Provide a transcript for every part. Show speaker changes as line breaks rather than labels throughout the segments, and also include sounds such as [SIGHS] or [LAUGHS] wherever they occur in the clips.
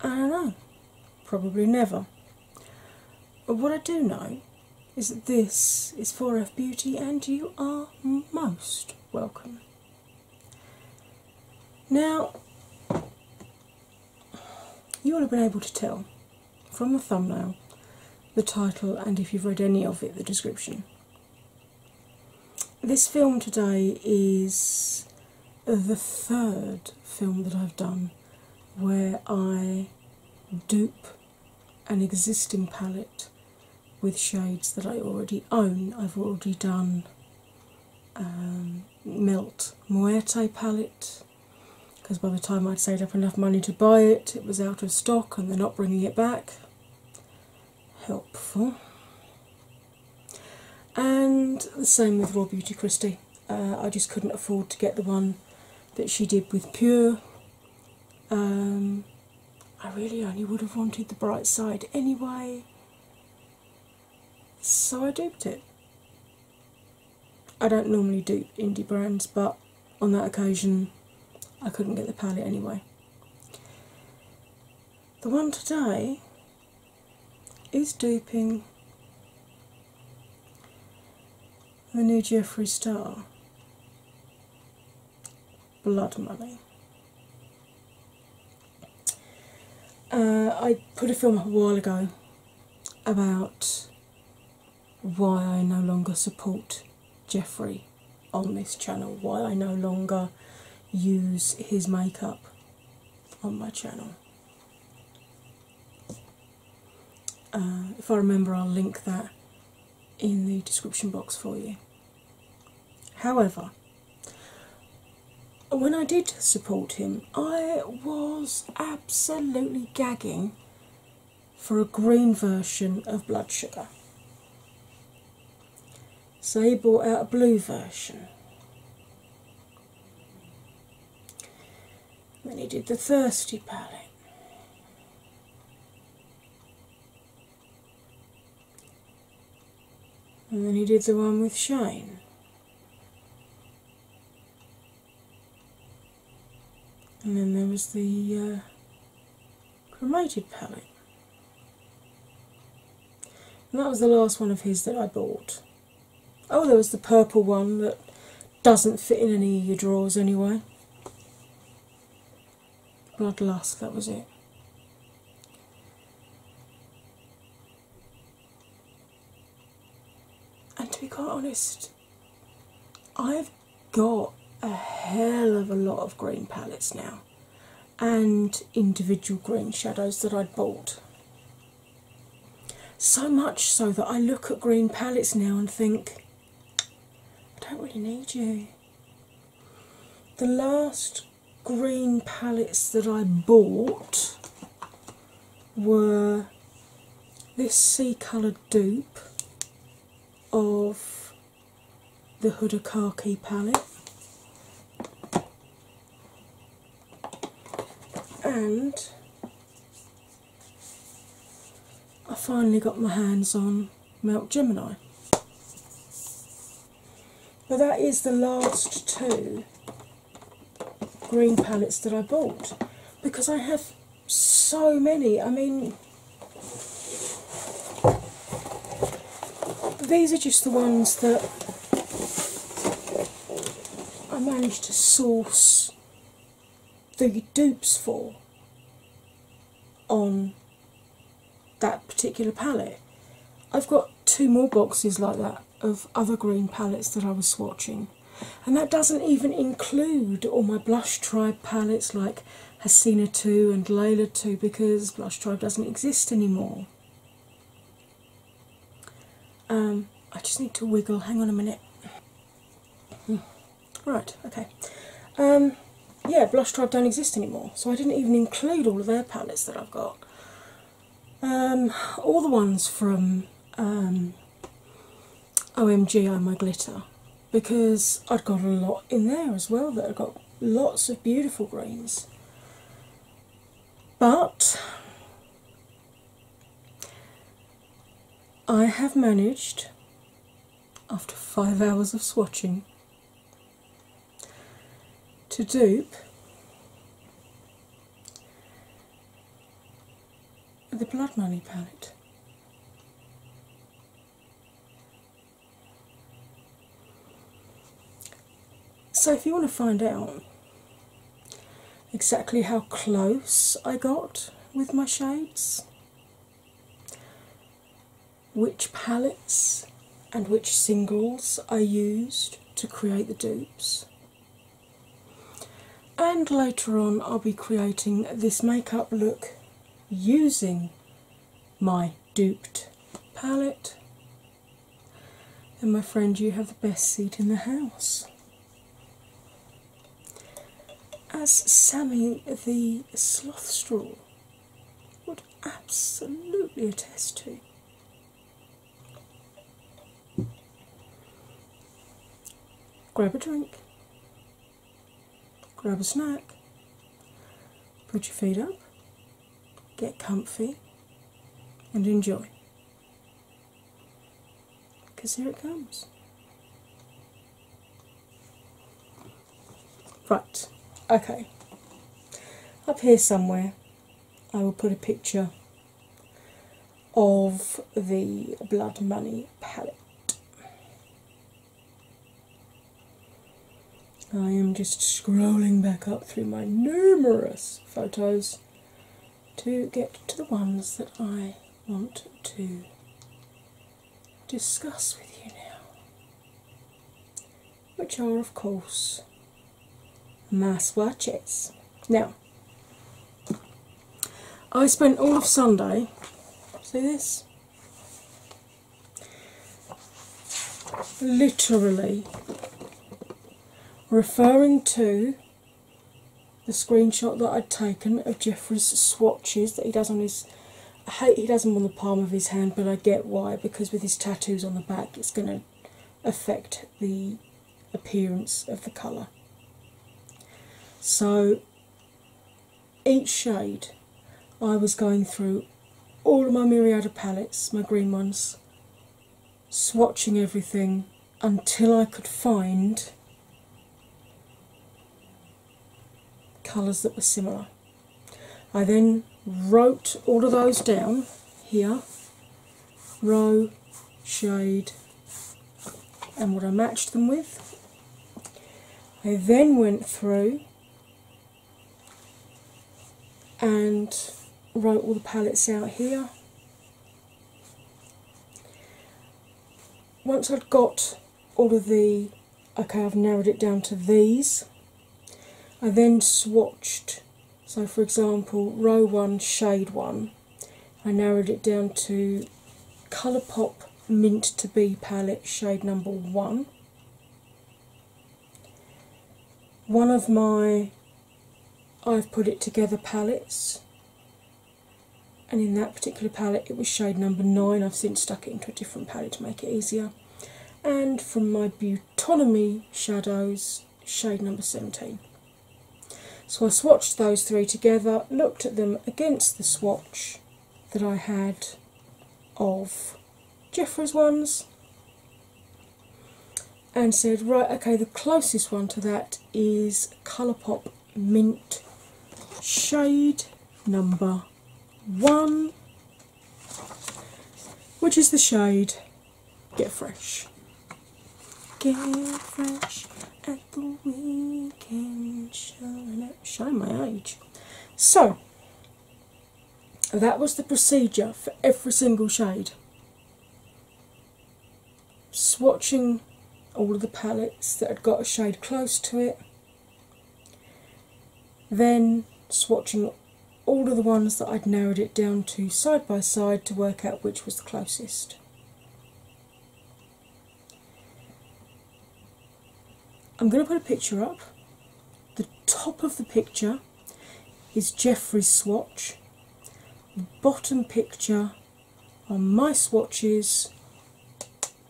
I don't know, probably never. But what I do know is that this is for f Beauty and you are most welcome. Now, you will have been able to tell from the thumbnail, the title, and if you've read any of it, the description. This film today is the third film that I've done where I dupe an existing palette with shades that I already own. I've already done um, Melt Muerte palette because by the time I'd saved up enough money to buy it, it was out of stock and they're not bringing it back. Helpful. And the same with Raw Beauty Christie. Uh, I just couldn't afford to get the one that she did with Pure. Um, I really only would have wanted the bright side anyway, so I duped it. I don't normally dupe indie brands, but on that occasion I couldn't get the palette anyway. The one today is duping the new Jeffrey Star Blood Money. Uh, I put a film up a while ago about why I no longer support Jeffrey on this channel, why I no longer use his makeup on my channel. Uh, if I remember, I'll link that in the description box for you. However, when I did support him, I was absolutely gagging for a green version of Blood Sugar. So he brought out a blue version. Then he did the Thirsty palette. And then he did the one with Shine. And then there was the uh, Chromated palette. And that was the last one of his that I bought. Oh, there was the purple one that doesn't fit in any of your drawers anyway. Bloodlust, that was it. And to be quite honest, I've got a hell of a lot of green palettes now and individual green shadows that I'd bought. So much so that I look at green palettes now and think, I don't really need you. The last green palettes that I bought were this sea coloured dupe of the Hudakaki palette and I finally got my hands on Milk Gemini. But that is the last two green palettes that I bought because I have so many. I mean, these are just the ones that I managed to source the dupes for on that particular palette. I've got two more boxes like that of other green palettes that I was swatching, and that doesn't even include all my Blush Tribe palettes like Hasina 2 and Layla 2 because Blush Tribe doesn't exist anymore. Um, I just need to wiggle. Hang on a minute. Hmm. Right, okay. Um, yeah, Blush Tribe don't exist anymore, so I didn't even include all of their palettes that I've got. Um, all the ones from um, OMG I My Glitter, because i have got a lot in there as well that I've got lots of beautiful greens. But I have managed, after five hours of swatching, to dupe the Blood Money palette. So, if you want to find out exactly how close I got with my shades, which palettes and which singles I used to create the dupes, and later on, I'll be creating this makeup look using my duped palette and my friend, you have the best seat in the house. As Sammy the Sloth Straw would absolutely attest to. Grab a drink, grab a snack, put your feet up, get comfy, and enjoy. Because here it comes. Right, okay. Up here somewhere, I will put a picture of the Blood Money palette. I am just scrolling back up through my numerous photos to get to the ones that I want to discuss with you now, which are, of course, mass swatches. Now, I spent all of Sunday, see this? Literally referring to the screenshot that I'd taken of Jeffrey's swatches that he does on his. I hate he does them on the palm of his hand, but I get why because with his tattoos on the back, it's going to affect the appearance of the colour. So each shade I was going through all of my myriad of palettes, my green ones, swatching everything, until I could find colours that were similar. I then wrote all of those down here row, shade, and what I matched them with. I then went through and wrote all the palettes out here once I'd got all of the, okay, I've narrowed it down to these, I then swatched, so for example, row one, shade one, I narrowed it down to Colourpop Mint to Be palette, shade number one. One of my I've put it together palettes, and in that particular palette, it was shade number nine. I've since stuck it into a different palette to make it easier. And from my Butonomy shadows, shade number 17. So I swatched those three together, looked at them against the swatch that I had of Jeffrey's ones, and said, right, okay, the closest one to that is Colourpop Mint shade number one, which is the shade Get Fresh. Get fresh at the weekend show. Show my age. So, that was the procedure for every single shade swatching all of the palettes that had got a shade close to it, then swatching all of the ones that I'd narrowed it down to side by side to work out which was the closest. I'm going to put a picture up. The top of the picture is Jeffrey's swatch bottom picture on my swatches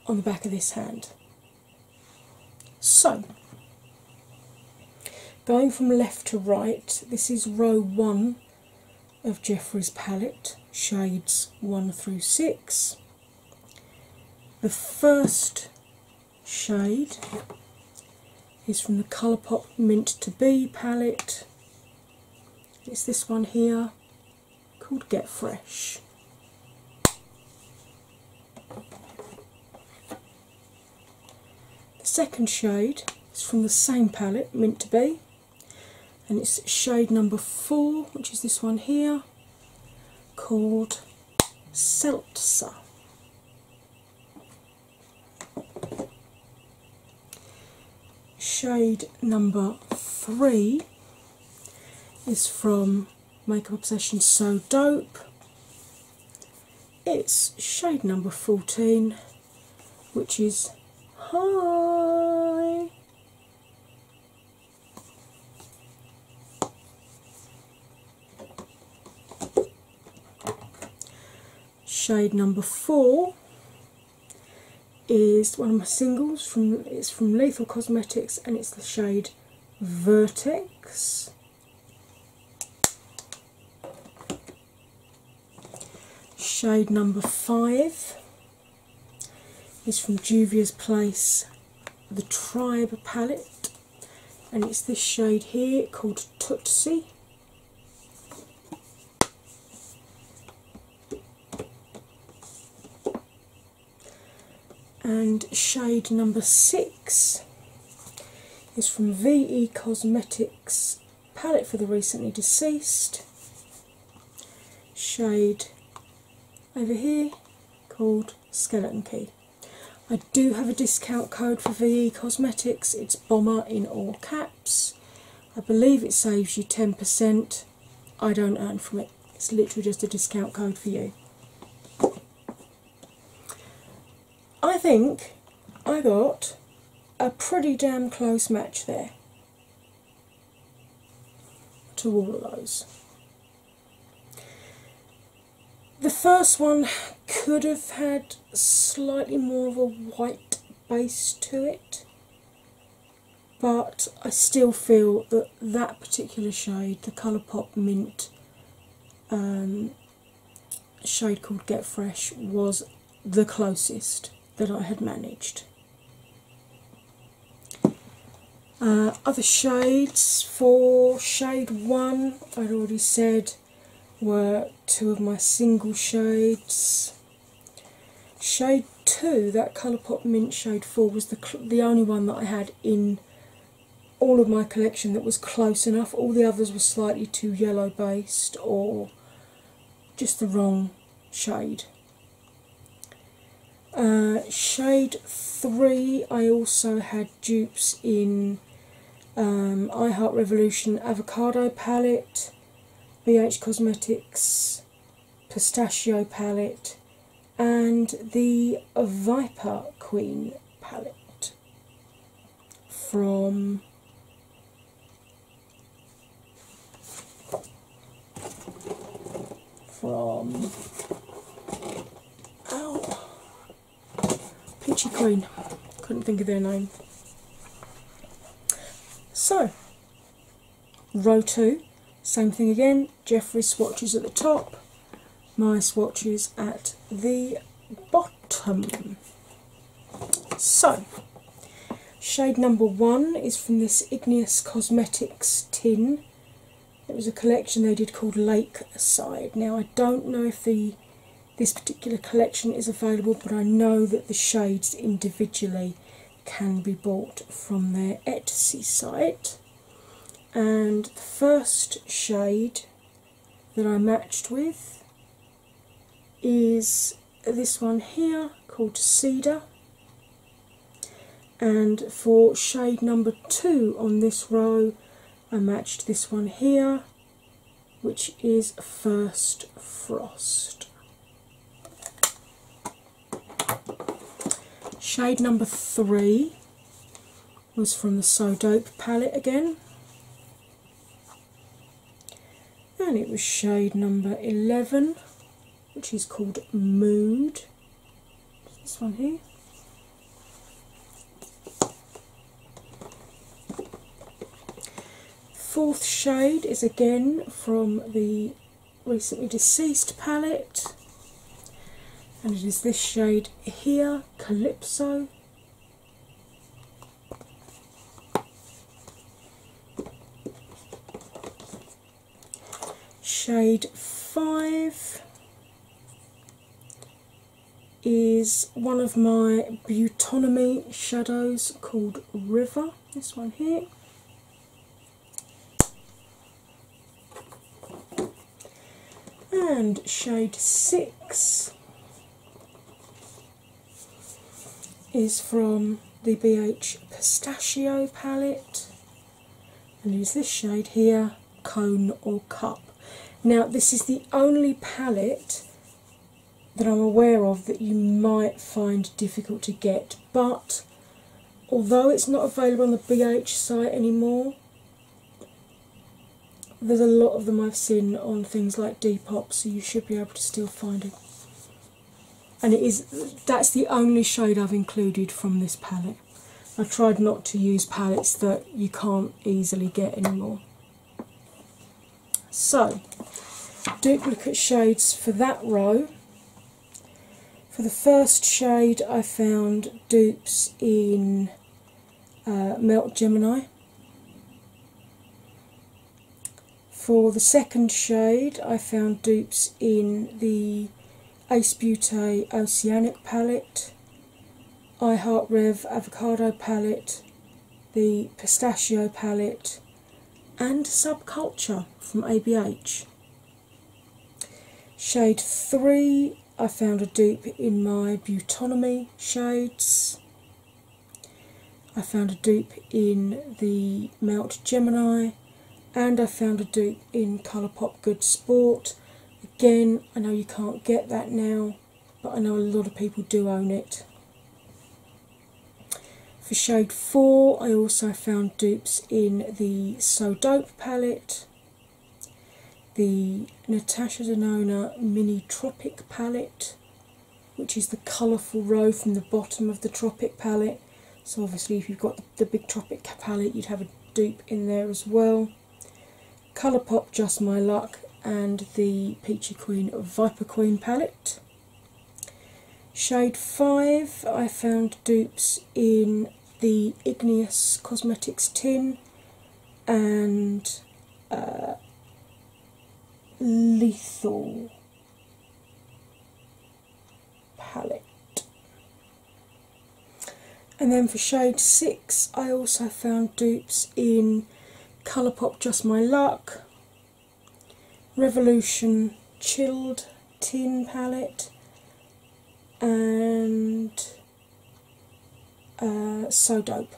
on the back of this hand. So, going from left to right, this is row one of Jeffrey's palette, shades one through six. The first shade is from the Colourpop Mint to Be palette, it's this one here called Get Fresh. The second shade is from the same palette, meant to Be, and it's shade number four, which is this one here, called Seltzer. Shade number three is from Makeup Obsession So Dope. It's shade number 14, which is Hi shade number four is one of my singles from it's from Lethal Cosmetics and it's the shade Vertex. Shade number five is from Juvia's Place, the Tribe palette, and it's this shade here called Tootsie and shade number six is from VE Cosmetics palette for the recently deceased shade over here called Skeleton Key. I do have a discount code for VE Cosmetics, it's Bomber in all caps, I believe it saves you 10%. I don't earn from it, it's literally just a discount code for you. I think I got a pretty damn close match there to all of those. The first one could have had slightly more of a white base to it, but I still feel that that particular shade, the Colourpop Mint um, shade called Get Fresh, was the closest that I had managed. Uh, other shades for shade one, I'd already said were two of my single shades Shade two, that Colourpop Mint shade four, was the the only one that I had in all of my collection that was close enough. All the others were slightly too yellow based or just the wrong shade. Uh, shade three, I also had dupes in um, I Heart Revolution Avocado palette. BH Cosmetics Pistachio palette and the Viper Queen palette from from ow, Peachy Queen. Couldn't think of their name. So, row two, same thing again. Jeffrey swatches at the top, my swatches at the bottom. So, shade number one is from this Igneous Cosmetics tin. It was a collection they did called Lake Side. Now I don't know if the this particular collection is available, but I know that the shades individually can be bought from their Etsy site. And the first shade that I matched with is this one here called Cedar. And for shade number two on this row, I matched this one here which is First Frost. Shade number three was from the So Dope palette again, and it was shade number 11, which is called Mood. This one here. Fourth shade is again from the recently deceased palette, and it is this shade here, Calypso. Shade 5 is one of my Butonomy shadows called River this one here. And shade 6 is from the BH Pistachio palette and is this shade here, Cone or Cup. Now, this is the only palette that I'm aware of that you might find difficult to get, but although it's not available on the BH site anymore, there's a lot of them I've seen on things like Depop, so you should be able to still find it. And it is that's the only shade I've included from this palette. I tried not to use palettes that you can't easily get anymore. So, duplicate shades for that row. For the first shade, I found dupes in uh, Melt Gemini. For the second shade, I found dupes in the Ace Beauty Oceanic palette, I Heart Rev Avocado palette, the Pistachio palette, and Subculture from ABH. Shade 3, I found a dupe in my Butonomy shades. I found a dupe in the Mount Gemini and I found a dupe in Colourpop Good Sport. Again, I know you can't get that now, but I know a lot of people do own it. For shade 4, I also found dupes in the So Dope palette, the Natasha Denona Mini Tropic palette, which is the colourful row from the bottom of the Tropic palette. So, obviously, if you've got the big Tropic palette, you'd have a dupe in there as well. Colourpop Just My Luck and the Peachy Queen Viper Queen palette. Shade 5 I found dupes in the Igneous Cosmetics tin and uh, Lethal palette. And then for shade 6 I also found dupes in Colourpop Just My Luck, Revolution Chilled Tin Palette and uh, So Dope.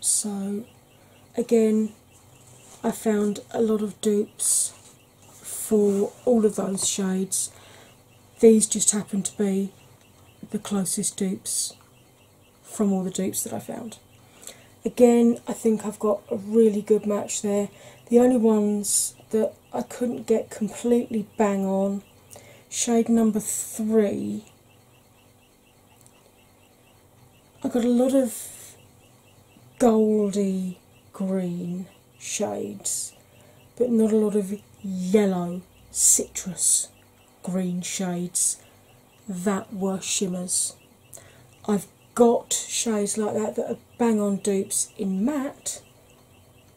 So, again, I found a lot of dupes for all of those shades. These just happen to be the closest dupes from all the dupes that I found. Again, I think I've got a really good match there. The only ones that I couldn't get completely bang on shade number three. I got a lot of goldy green shades, but not a lot of yellow citrus green shades that were shimmers. I've got shades like that that are bang on dupes in matte,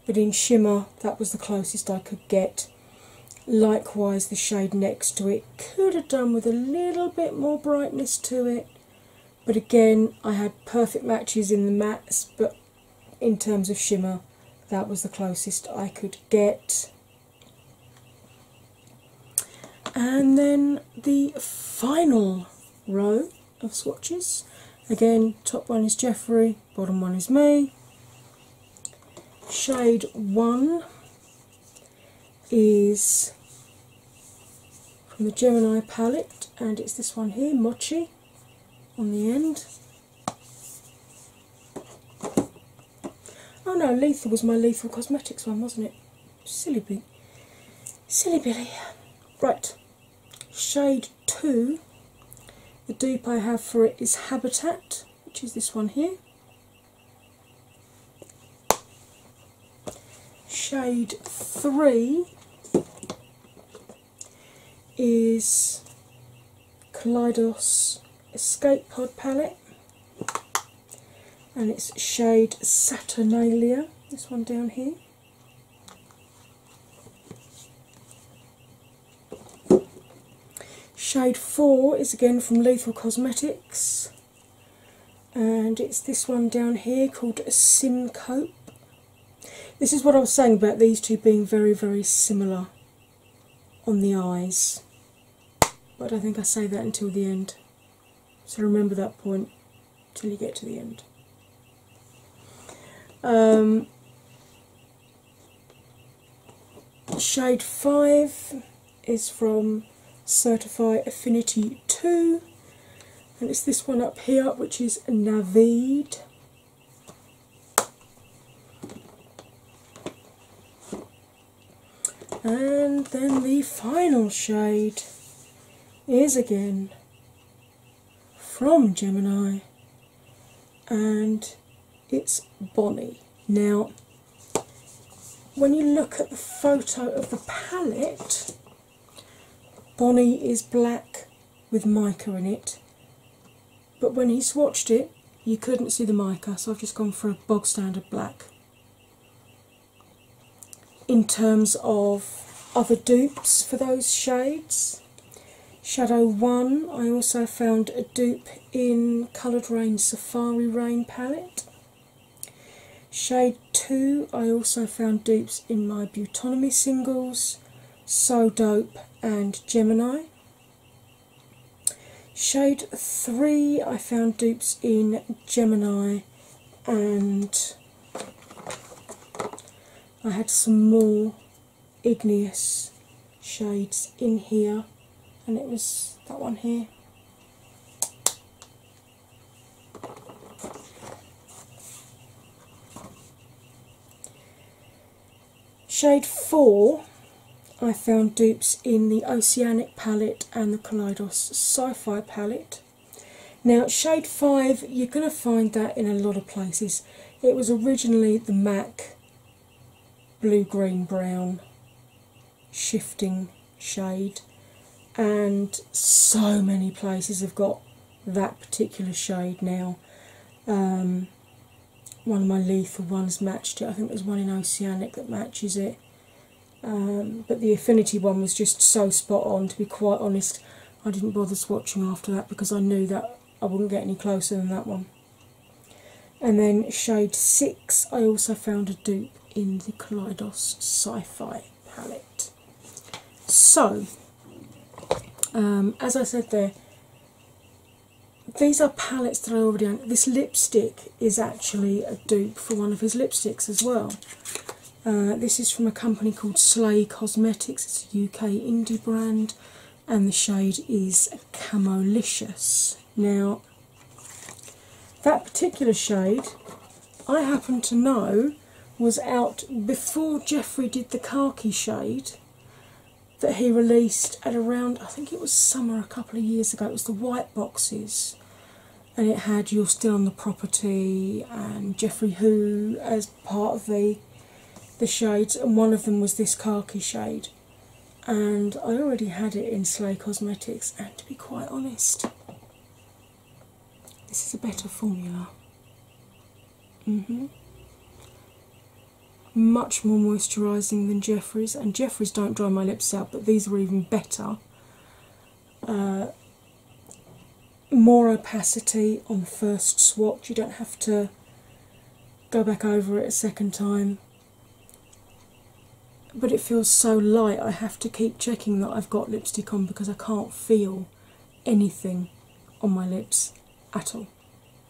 but in shimmer that was the closest I could get. Likewise, the shade next to it could have done with a little bit more brightness to it, but again, I had perfect matches in the mattes, but in terms of shimmer, that was the closest I could get. And then the final row of swatches. Again, top one is Jeffrey, bottom one is me. Shade one is from the Gemini palette, and it's this one here, Mochi, on the end. Oh no, Lethal was my Lethal Cosmetics one, wasn't it? Silly me. Silly Billy. Right, shade two. The dupe I have for it is Habitat, which is this one here. Shade three is Kaleidos Escape Pod palette and it's shade Saturnalia, this one down here. Shade 4 is again from Lethal Cosmetics, and it's this one down here called Simcope. This is what I was saying about these two being very, very similar on the eyes, but I think I say that until the end. So remember that point till you get to the end. Um, shade 5 is from Certify Affinity 2 and it's this one up here which is Navid. And then the final shade is again from Gemini and it's Bonnie. Now, when you look at the photo of the palette, Bonnie is black with mica in it, but when he swatched it, you couldn't see the mica, so I've just gone for a bog standard black in terms of other dupes for those shades. Shadow 1, I also found a dupe in Coloured Rain Safari Rain palette. Shade 2, I also found dupes in my Butonomy singles, So Dope and Gemini. Shade 3, I found dupes in Gemini and I had some more igneous shades in here, and it was that one here. Shade 4 I found dupes in the Oceanic palette and the Kaleidos Sci Fi palette. Now, shade 5, you're going to find that in a lot of places. It was originally the MAC blue, green, brown shifting shade, and so many places have got that particular shade now. Um, one of my lethal ones matched it. I think there's one in Oceanic that matches it. Um, but the Affinity one was just so spot on, to be quite honest. I didn't bother swatching after that because I knew that I wouldn't get any closer than that one. And then shade 6, I also found a dupe in the Kaleidos Sci Fi palette. So, um, as I said there, these are palettes that I already own. This lipstick is actually a dupe for one of his lipsticks as well. Uh, this is from a company called Slay Cosmetics, it's a UK indie brand, and the shade is Camolicious. Now, that particular shade I happen to know was out before Jeffrey did the khaki shade that he released at around, I think it was summer a couple of years ago, it was the white boxes and it had You're Still on the Property and Jeffrey Who as part of the the shades and one of them was this khaki shade and I already had it in Slay Cosmetics and to be quite honest this is a better formula. -hmm. Much more moisturising than Jeffrey's and Jeffrey's don't dry my lips out, but these are even better. Uh, more opacity on first swatch. You don't have to go back over it a second time. But it feels so light, I have to keep checking that I've got lipstick on because I can't feel anything on my lips at all,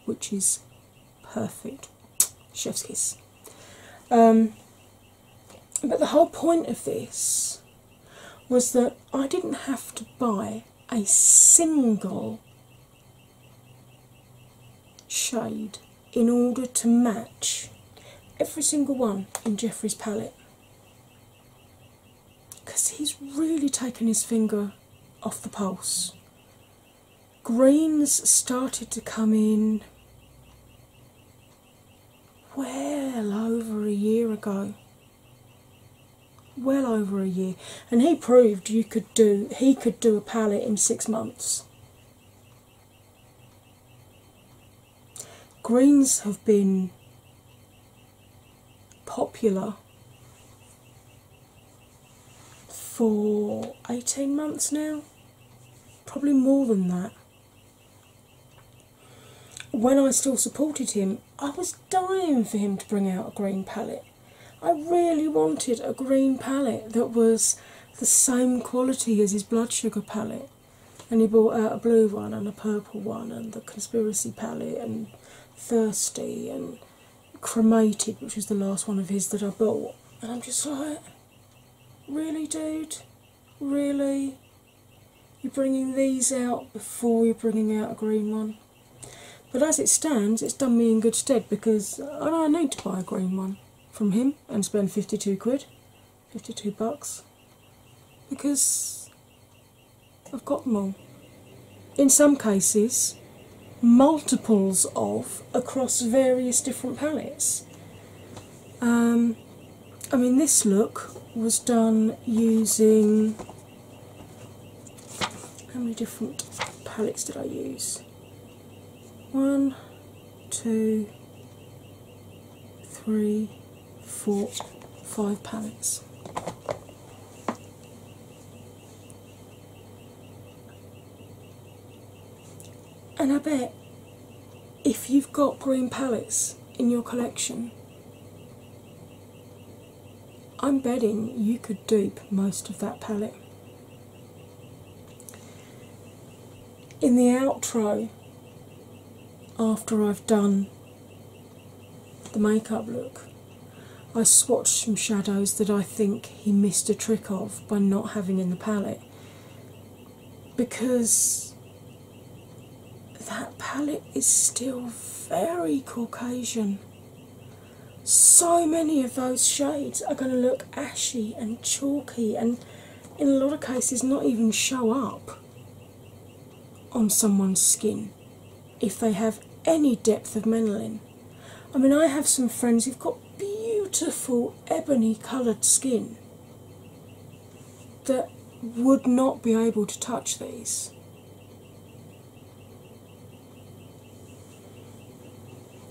which is perfect. Chef's kiss. Um, but the whole point of this was that I didn't have to buy a single shade in order to match every single one in Jeffrey's palette because he's really taken his finger off the pulse. Greens started to come in well over a year ago. Well over a year, and he proved you could do. He could do a palette in six months. Greens have been popular for 18 months now, probably more than that when I still supported him, I was dying for him to bring out a green palette. I really wanted a green palette that was the same quality as his blood sugar palette. And he brought out a blue one and a purple one and the conspiracy palette and thirsty and cremated, which was the last one of his that I bought. And I'm just like, really, dude? Really? You're bringing these out before you're bringing out a green one. But as it stands, it's done me in good stead because I need to buy a green one from him and spend 52 quid, 52 bucks, because I've got them all. In some cases, multiples of across various different palettes. Um, I mean, this look was done using how many different palettes did I use? One, two, three, four, five palettes. And I bet if you've got green palettes in your collection, I'm betting you could dupe most of that palette. In the outro, after I've done the makeup look, I swatched some shadows that I think he missed a trick of by not having in the palette because that palette is still very Caucasian. So many of those shades are going to look ashy and chalky, and in a lot of cases, not even show up on someone's skin if they have any depth of melanin. I mean, I have some friends who've got beautiful ebony coloured skin that would not be able to touch these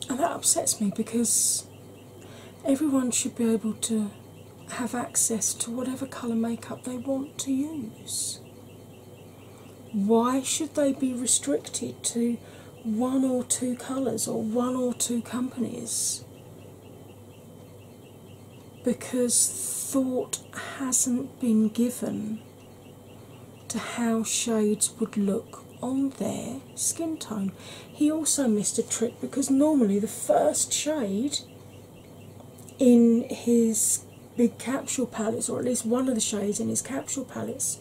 and that upsets me because everyone should be able to have access to whatever colour makeup they want to use. Why should they be restricted to one or two colours or one or two companies? because thought hasn't been given to how shades would look on their skin tone. He also missed a trick because normally the first shade in his big capsule palettes, or at least one of the shades in his capsule palettes,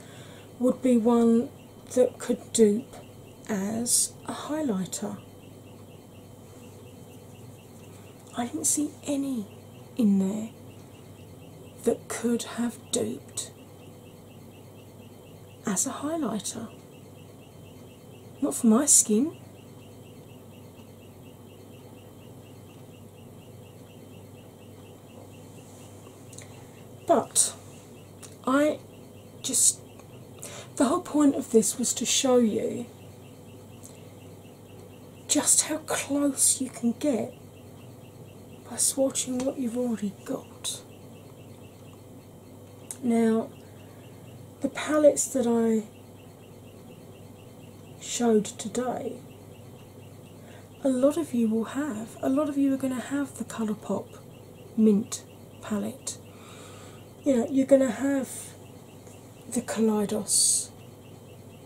would be one that could dupe as a highlighter. I didn't see any in there that could have duped as a highlighter. Not for my skin. But I just, the whole point of this was to show you just how close you can get by swatching what you've already got. Now, the palettes that I showed today, a lot of you will have. A lot of you are going to have the Colourpop Mint palette. You know, you're going to have the Kaleidos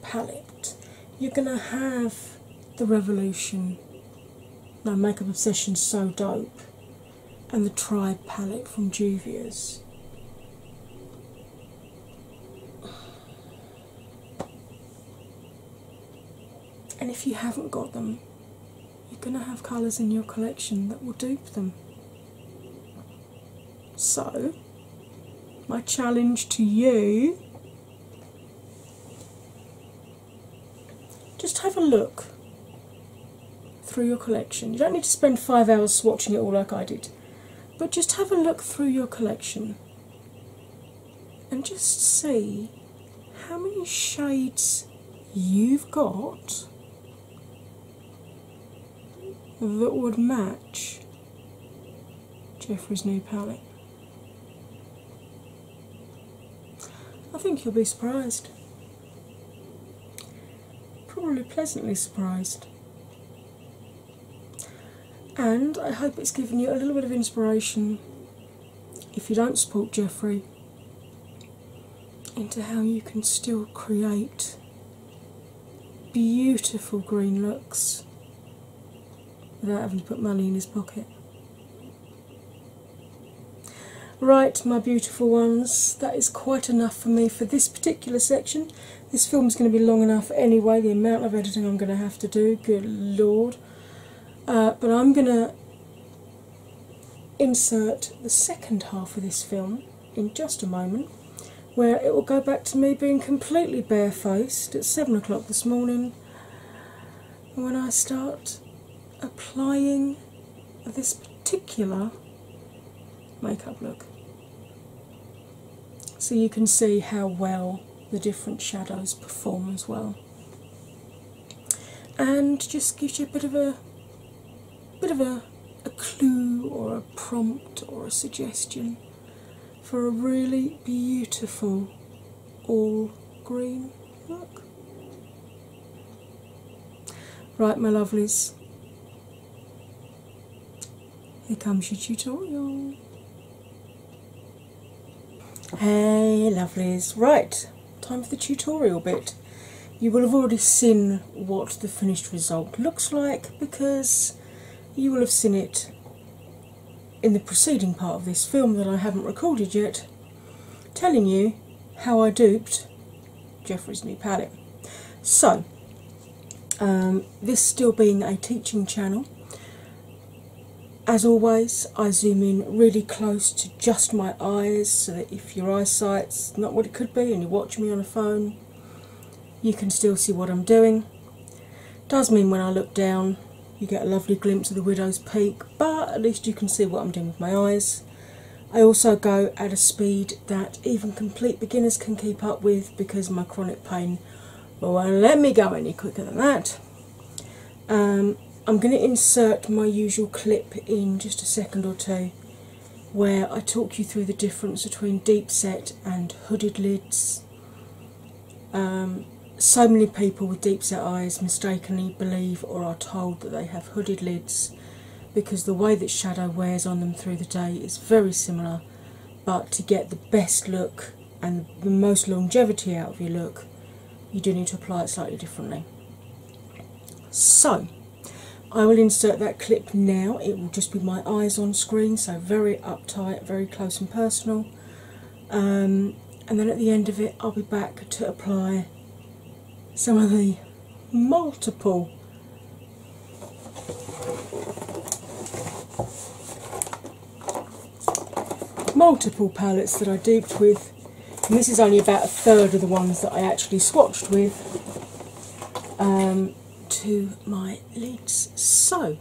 palette, you're going to have the Revolution, no Makeup Obsession So Dope, and the Tribe palette from Juvia's. And if you haven't got them, you're going to have colours in your collection that will dupe them. So, my challenge to you just have a look through your collection. You don't need to spend five hours swatching it all like I did, but just have a look through your collection and just see how many shades you've got that would match Jeffrey's new palette. I think you'll be surprised. Probably pleasantly surprised. And I hope it's given you a little bit of inspiration if you don't support Jeffrey into how you can still create beautiful green looks without having to put money in his pocket. Right, my beautiful ones, that is quite enough for me for this particular section. This film is going to be long enough anyway, the amount of editing I'm going to have to do, good lord. Uh, but I'm going to insert the second half of this film in just a moment, where it will go back to me being completely barefaced at seven o'clock this morning when I start applying this particular makeup look. So you can see how well the different shadows perform as well. And just gives you a bit of a bit of a a clue or a prompt or a suggestion for a really beautiful all green look. Right, my lovelies, here comes your tutorial. Hey, lovelies, right, time for the tutorial bit. You will have already seen what the finished result looks like because you will have seen it in the preceding part of this film that I haven't recorded yet, telling you how I duped Jeffrey's new palette. So, um, this still being a teaching channel, as always, I zoom in really close to just my eyes so that if your eyesight's not what it could be and you watch me on a phone, you can still see what I'm doing. Does mean when I look down, you get a lovely glimpse of the widow's peak, but at least you can see what I'm doing with my eyes. I also go at a speed that even complete beginners can keep up with because my chronic pain won't let me go any quicker than that. Um, I'm going to insert my usual clip in just a second or two where I talk you through the difference between deep set and hooded lid um, so many people with deep set eyes mistakenly believe or are told that they have hooded lids because the way that shadow wears on them through the day is very similar, but to get the best look and the most longevity out of your look, you do need to apply it slightly differently. So, I will insert that clip now. It will just be my eyes on screen, so very Tight, very close and personal. Um, and then at the end of it, I'll be back to apply some of the multiple multiple palettes that I duped with and this is only about a third of the ones that I actually swatched with um, to my lids. So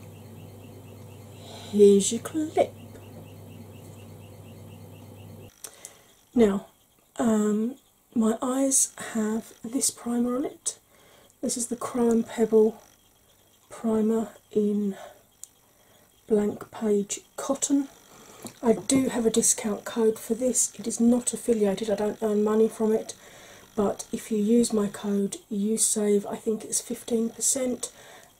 here's your clip. Now, um, my eyes have this primer on it. This is the Crown Pebble primer in blank page cotton. I do have a discount code for this. It is not affiliated, I don't earn money from it but if you use my code you save i think it's 15%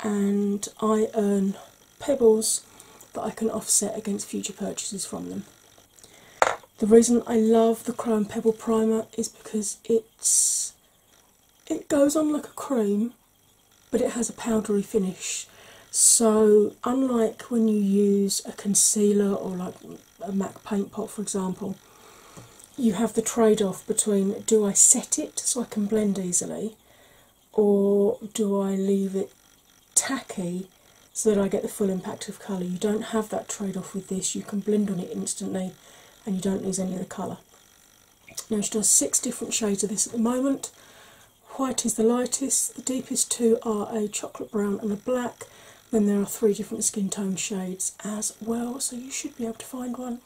and i earn pebbles that i can offset against future purchases from them the reason i love the chrome pebble primer is because it's it goes on like a cream but it has a powdery finish so unlike when you use a concealer or like a Mac paint pot, for example, you have the trade off between do I set it so I can blend easily, or do I leave it tacky so that I get the full impact of colour? You don't have that trade off with this, you can blend on it instantly and you don't lose any of the colour. Now, she does six different shades of this at the moment. White is the lightest, the deepest two are a chocolate brown and a black, then there are three different skin tone shades as well, so you should be able to find one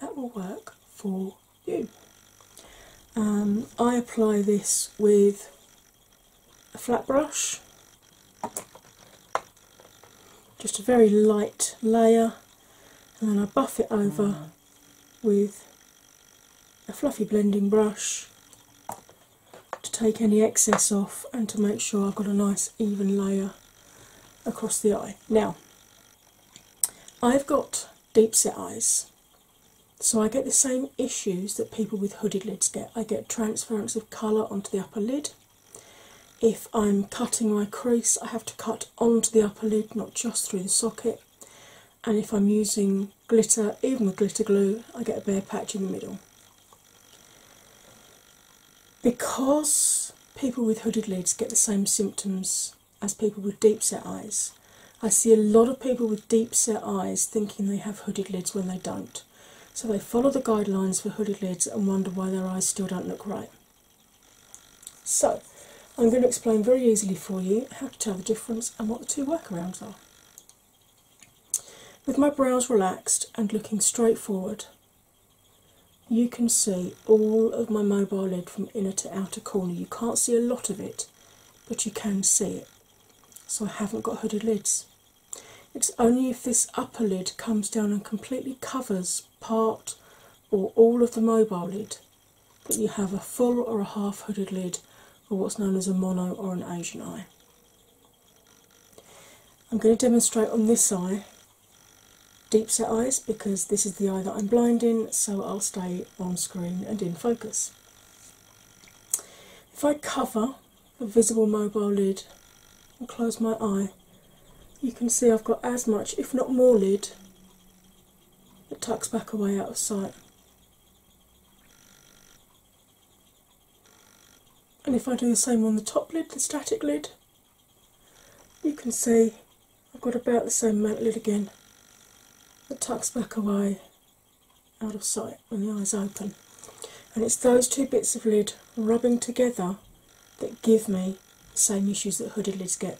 that will work for you. Um, I apply this with a flat brush, just a very light layer, and then I buff it over mm. with a fluffy blending brush to take any excess off and to make sure I've got a nice even layer across the eye. Now, I've got deep set eyes, so I get the same issues that people with hooded lids get. I get transference of colour onto the upper lid. If I'm cutting my crease, I have to cut onto the upper lid, not just through the socket. And if I'm using glitter, even with glitter glue, I get a bare patch in the middle. Because people with hooded lids get the same symptoms as people with deep set eyes, I see a lot of people with deep set eyes thinking they have hooded lids when they don't. So they follow the guidelines for hooded lids and wonder why their eyes still don't look right. So, I'm going to explain very easily for you how to tell the difference and what the two workarounds are. With my brows relaxed and looking straight forward, you can see all of my mobile lid from inner to outer corner. You can't see a lot of it, but you can see it. So I haven't got hooded lids. It's only if this upper lid comes down and completely covers part or all of the mobile lid that you have a full or a half hooded lid or what's known as a mono or an Asian eye. I'm going to demonstrate on this eye deep set eyes because this is the eye that I'm blinding, so I'll stay on screen and in focus. If I cover the visible mobile lid and close my eye, you can see I've got as much, if not more, lid that tucks back away out of sight. And if I do the same on the top lid, the static lid, you can see I've got about the same lid again that tucks back away out of sight when the eyes open. And it's those two bits of lid rubbing together that give me the same issues that hooded lids get.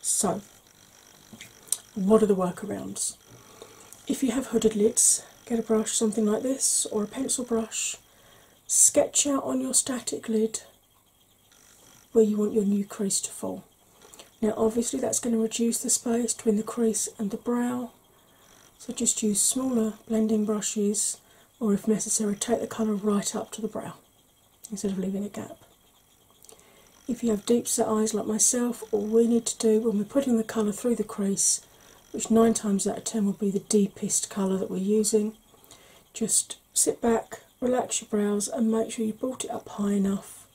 So, what are the workarounds? If you have hooded lids, get a brush, something like this, or a pencil brush, sketch out on your static lid where you want your new crease to fall. Now, obviously, that's going to reduce the space between the crease and the brow, so just use smaller blending brushes, or if necessary, take the colour right up to the brow instead of leaving a gap. If you have deep set eyes like myself, all we need to do when we're putting the colour through the crease, which nine times out of ten will be the deepest colour that we're using, just sit back, relax your brows, and make sure you brought it up high enough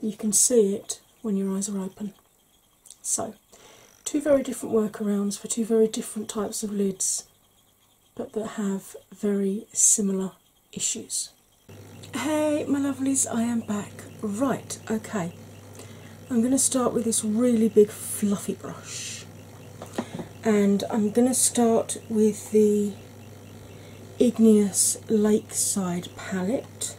that you can see it when your eyes are open. So, two very different workarounds for two very different types of lids, but that have very similar issues. Hey, my lovelies, I am back. Right, okay. I'm going to start with this really big fluffy brush and I'm going to start with the Igneous Lakeside palette.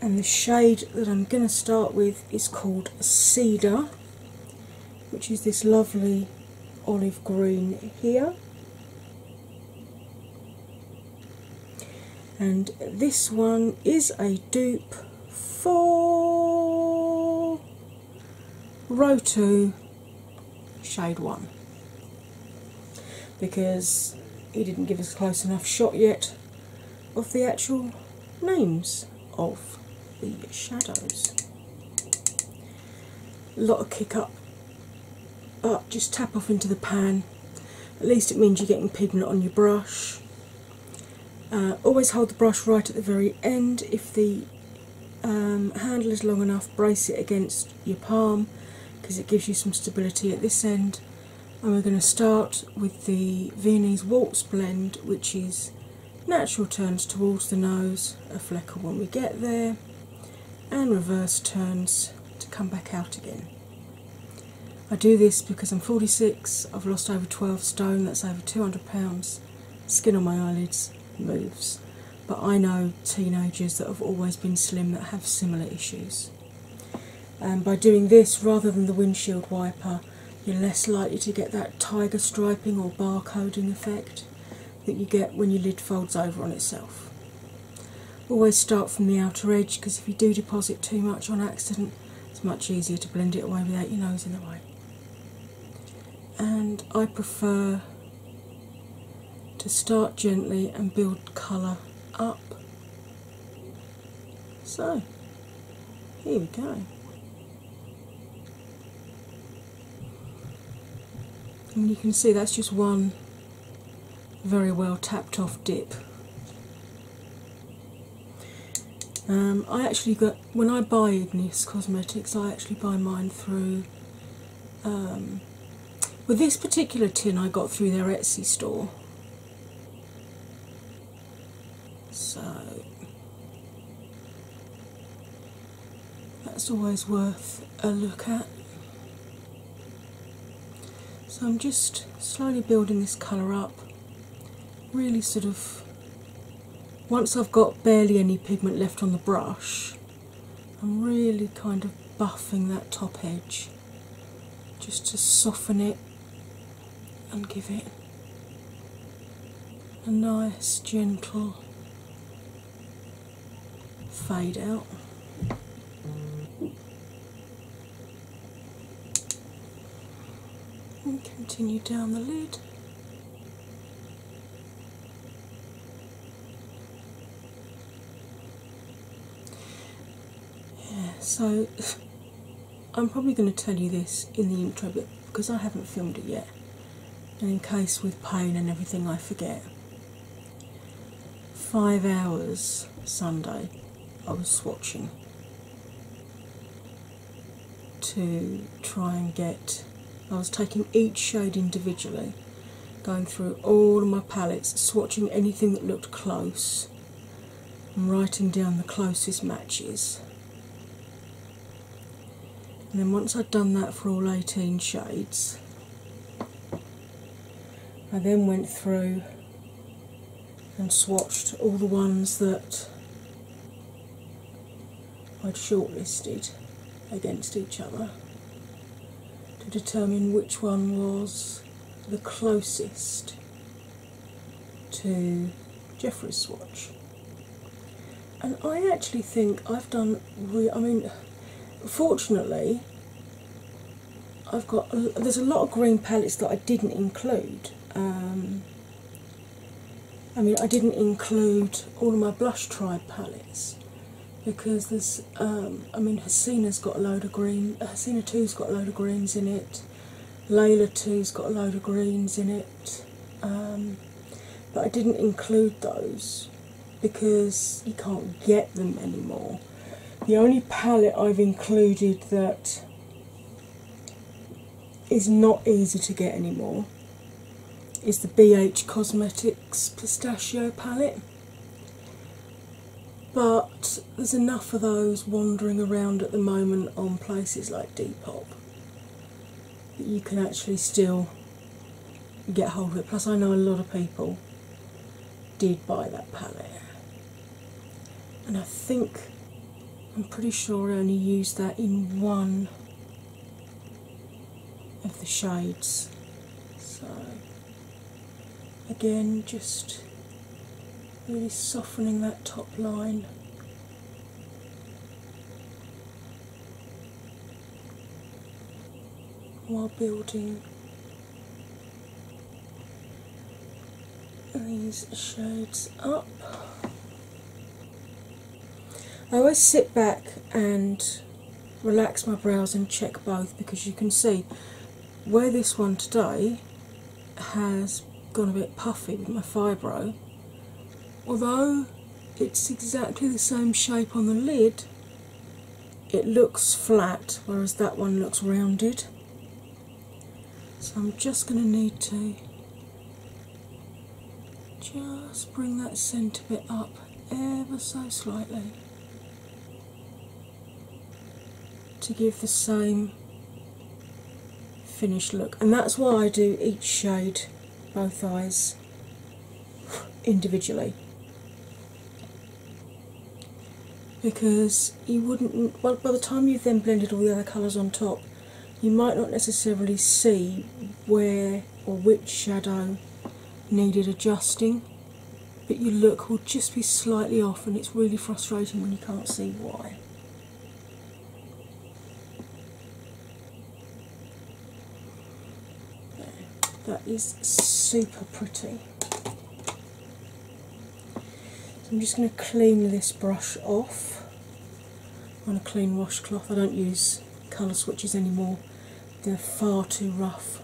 And the shade that I'm going to start with is called Cedar, which is this lovely olive green here. And this one is a dupe for row 2, shade 1 because he didn't give us a close enough shot yet of the actual names of the shadows. A lot of kick up, but just tap off into the pan. At least it means you're getting pigment on your brush. Uh, always hold the brush right at the very end if the um, handle is long enough, brace it against your palm because it gives you some stability at this end. And we're going to start with the Viennese Waltz blend, which is natural turns towards the nose, a flecker when we get there, and reverse turns to come back out again. I do this because I'm 46, I've lost over 12 stone, that's over 200 pounds, skin on my eyelids moves. But I know teenagers that have always been slim that have similar issues. And by doing this rather than the windshield wiper, you're less likely to get that tiger striping or barcoding effect that you get when your lid folds over on itself. Always start from the outer edge because if you do deposit too much on accident, it's much easier to blend it away without your nose in the way and I prefer to start gently and build colour up. So, here we go. And you can see that's just one very well tapped off dip. Um, I actually got when I buy Ignis Cosmetics, I actually buy mine through. Um, with this particular tin, I got through their Etsy store. So that's always worth a look at. So I'm just slowly building this colour up, really sort of once I've got barely any pigment left on the brush, I'm really kind of buffing that top edge just to soften it and give it a nice, gentle fade out. And continue down the lid so I'm probably going to tell you this in the intro bit because I haven't filmed it yet, and in case with pain and everything I forget. Five hours Sunday I was swatching to try and get. I was taking each shade individually, going through all my palettes, swatching anything that looked close, and writing down the closest matches. And then once I'd done that for all 18 shades, I then went through and swatched all the ones that I'd shortlisted against each other to determine which one was the closest to Jeffrey's swatch. And I actually think I've done, I mean, fortunately, I've got, there's a lot of green palettes that I didn't include. Um, I mean, I didn't include all of my blush tribe palettes because there's, um, I mean, Hasina's got a load of greens. Uh, Hasina 2's got a load of greens in it, Layla 2's got a load of greens in it, um, but I didn't include those because you can't get them anymore. The only palette I've included that is not easy to get anymore is the BH Cosmetics Pistachio palette. But there's enough of those wandering around at the moment on places like Depop that you can actually still get hold of it. Plus, I know a lot of people did buy that palette, and I think I'm pretty sure I only used that in one of the shades. So, again, just really softening that top line. While building these shades up. I always sit back and relax my brows and check both because you can see where this one today has gone a bit puffy with my fibro. Although it's exactly the same shape on the lid, it looks flat whereas that one looks rounded. So I'm just going to need to just bring that centre bit up ever so slightly to give the same finished look, and that's why I do each shade, both eyes, individually. Because you wouldn't, well, by the time you've then blended all the other colours on top, you might not necessarily see where or which shadow needed adjusting, but your look will just be slightly off, and it's really frustrating when you can't see why. That is super pretty. I'm just going to clean this brush off on a clean washcloth. I don't use colour switches anymore, they're far too rough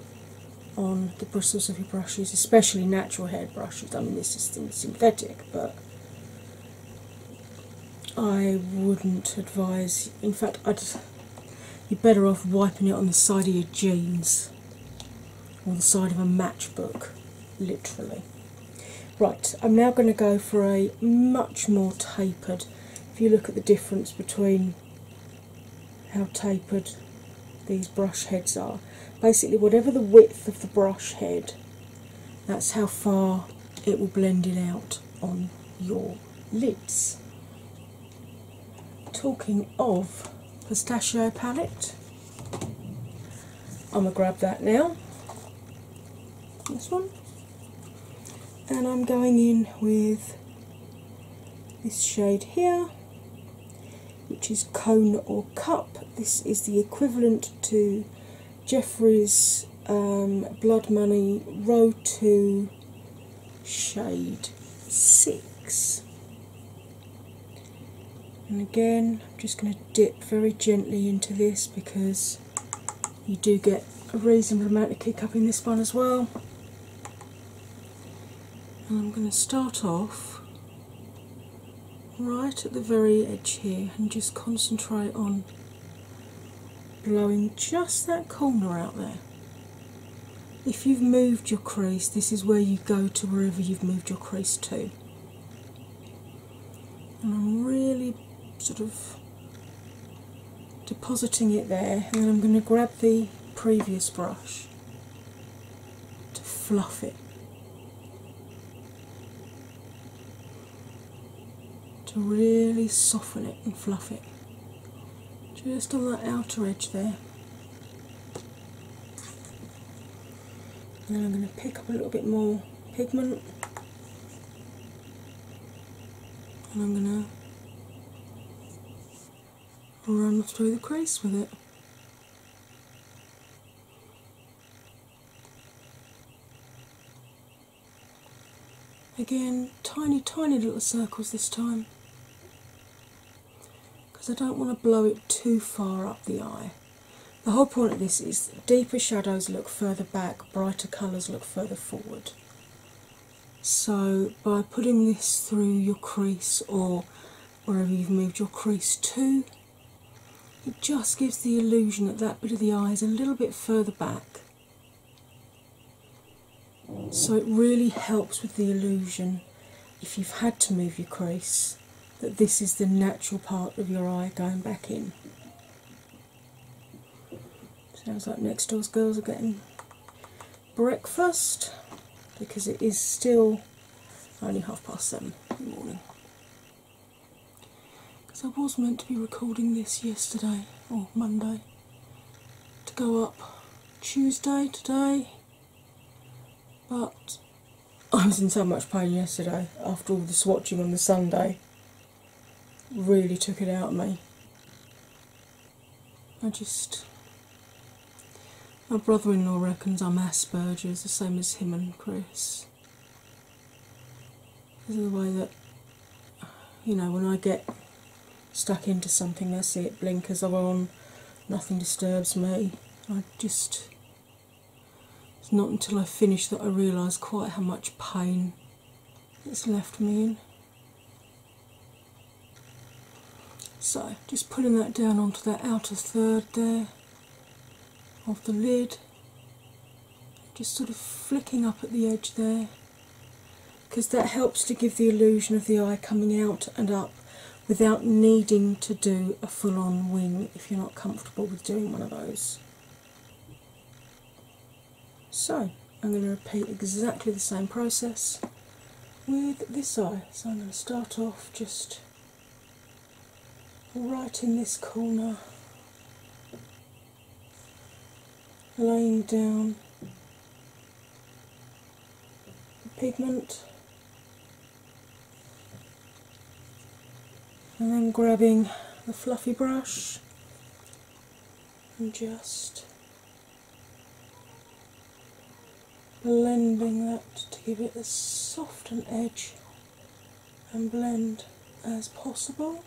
on the bristles of your brushes, especially natural hair brushes. I mean, this is synthetic, but I wouldn't advise. In fact, you're better off wiping it on the side of your jeans or the side of a matchbook, literally. Right, I'm now going to go for a much more tapered if you look at the difference between how tapered these brush heads are. Basically, whatever the width of the brush head, that's how far it will blend it out on your lids. Talking of pistachio palette, I'm gonna grab that now. This one and I'm going in with this shade here, which is Cone or Cup. This is the equivalent to Jeffrey's um, Blood Money Row 2 shade 6. And again, I'm just going to dip very gently into this because you do get a reasonable amount of kick up in this one as well. And I'm going to start off right at the very edge here and just concentrate on blowing just that corner out there. If you've moved your crease, this is where you go to wherever you've moved your crease to. And I'm really sort of depositing it there, and then I'm going to grab the previous brush to fluff it. To really soften it and fluff it. Just on that outer edge there. And then I'm going to pick up a little bit more pigment and I'm going to run through the crease with it. Again, tiny, tiny little circles this time because I don't want to blow it too far up the eye. The whole point of this is deeper shadows look further back, brighter colours look further forward. So, by putting this through your crease or wherever you've moved your crease to, it just gives the illusion that that bit of the eye is a little bit further back. So, it really helps with the illusion if you've had to move your crease that this is the natural part of your eye going back in. Sounds like next door's girls are getting breakfast because it is still only half past seven in the morning. Because I was meant to be recording this yesterday or Monday to go up Tuesday today, but I was in so much pain yesterday after all the swatching on the Sunday really took it out of me. I just. My brother in law reckons I'm Asperger's, the same as him and Chris. This is the way that, you know, when I get stuck into something, I see it, blinkers on, nothing disturbs me. I just. It's not until I finish that I realise quite how much pain it's left me in. So, just pulling that down onto that outer third there of the lid, just sort of flicking up at the edge there because that helps to give the illusion of the eye coming out and up without needing to do a full on wing if you're not comfortable with doing one of those. So I'm going to repeat exactly the same process with this eye. So I'm going to start off just right in this corner, laying down the pigment. And then grabbing the fluffy brush and just blending that to give it as soft an edge and blend as possible.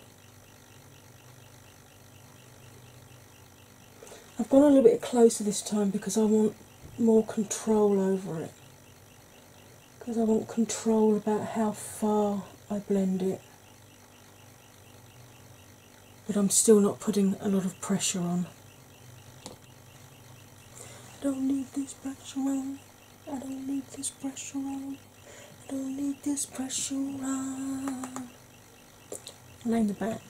I've gone a little bit closer this time because I want more control over it because I want control about how far I blend it but I'm still not putting a lot of pressure on. I don't need this pressure on. I don't need this pressure on. I don't need this pressure on. Name the band.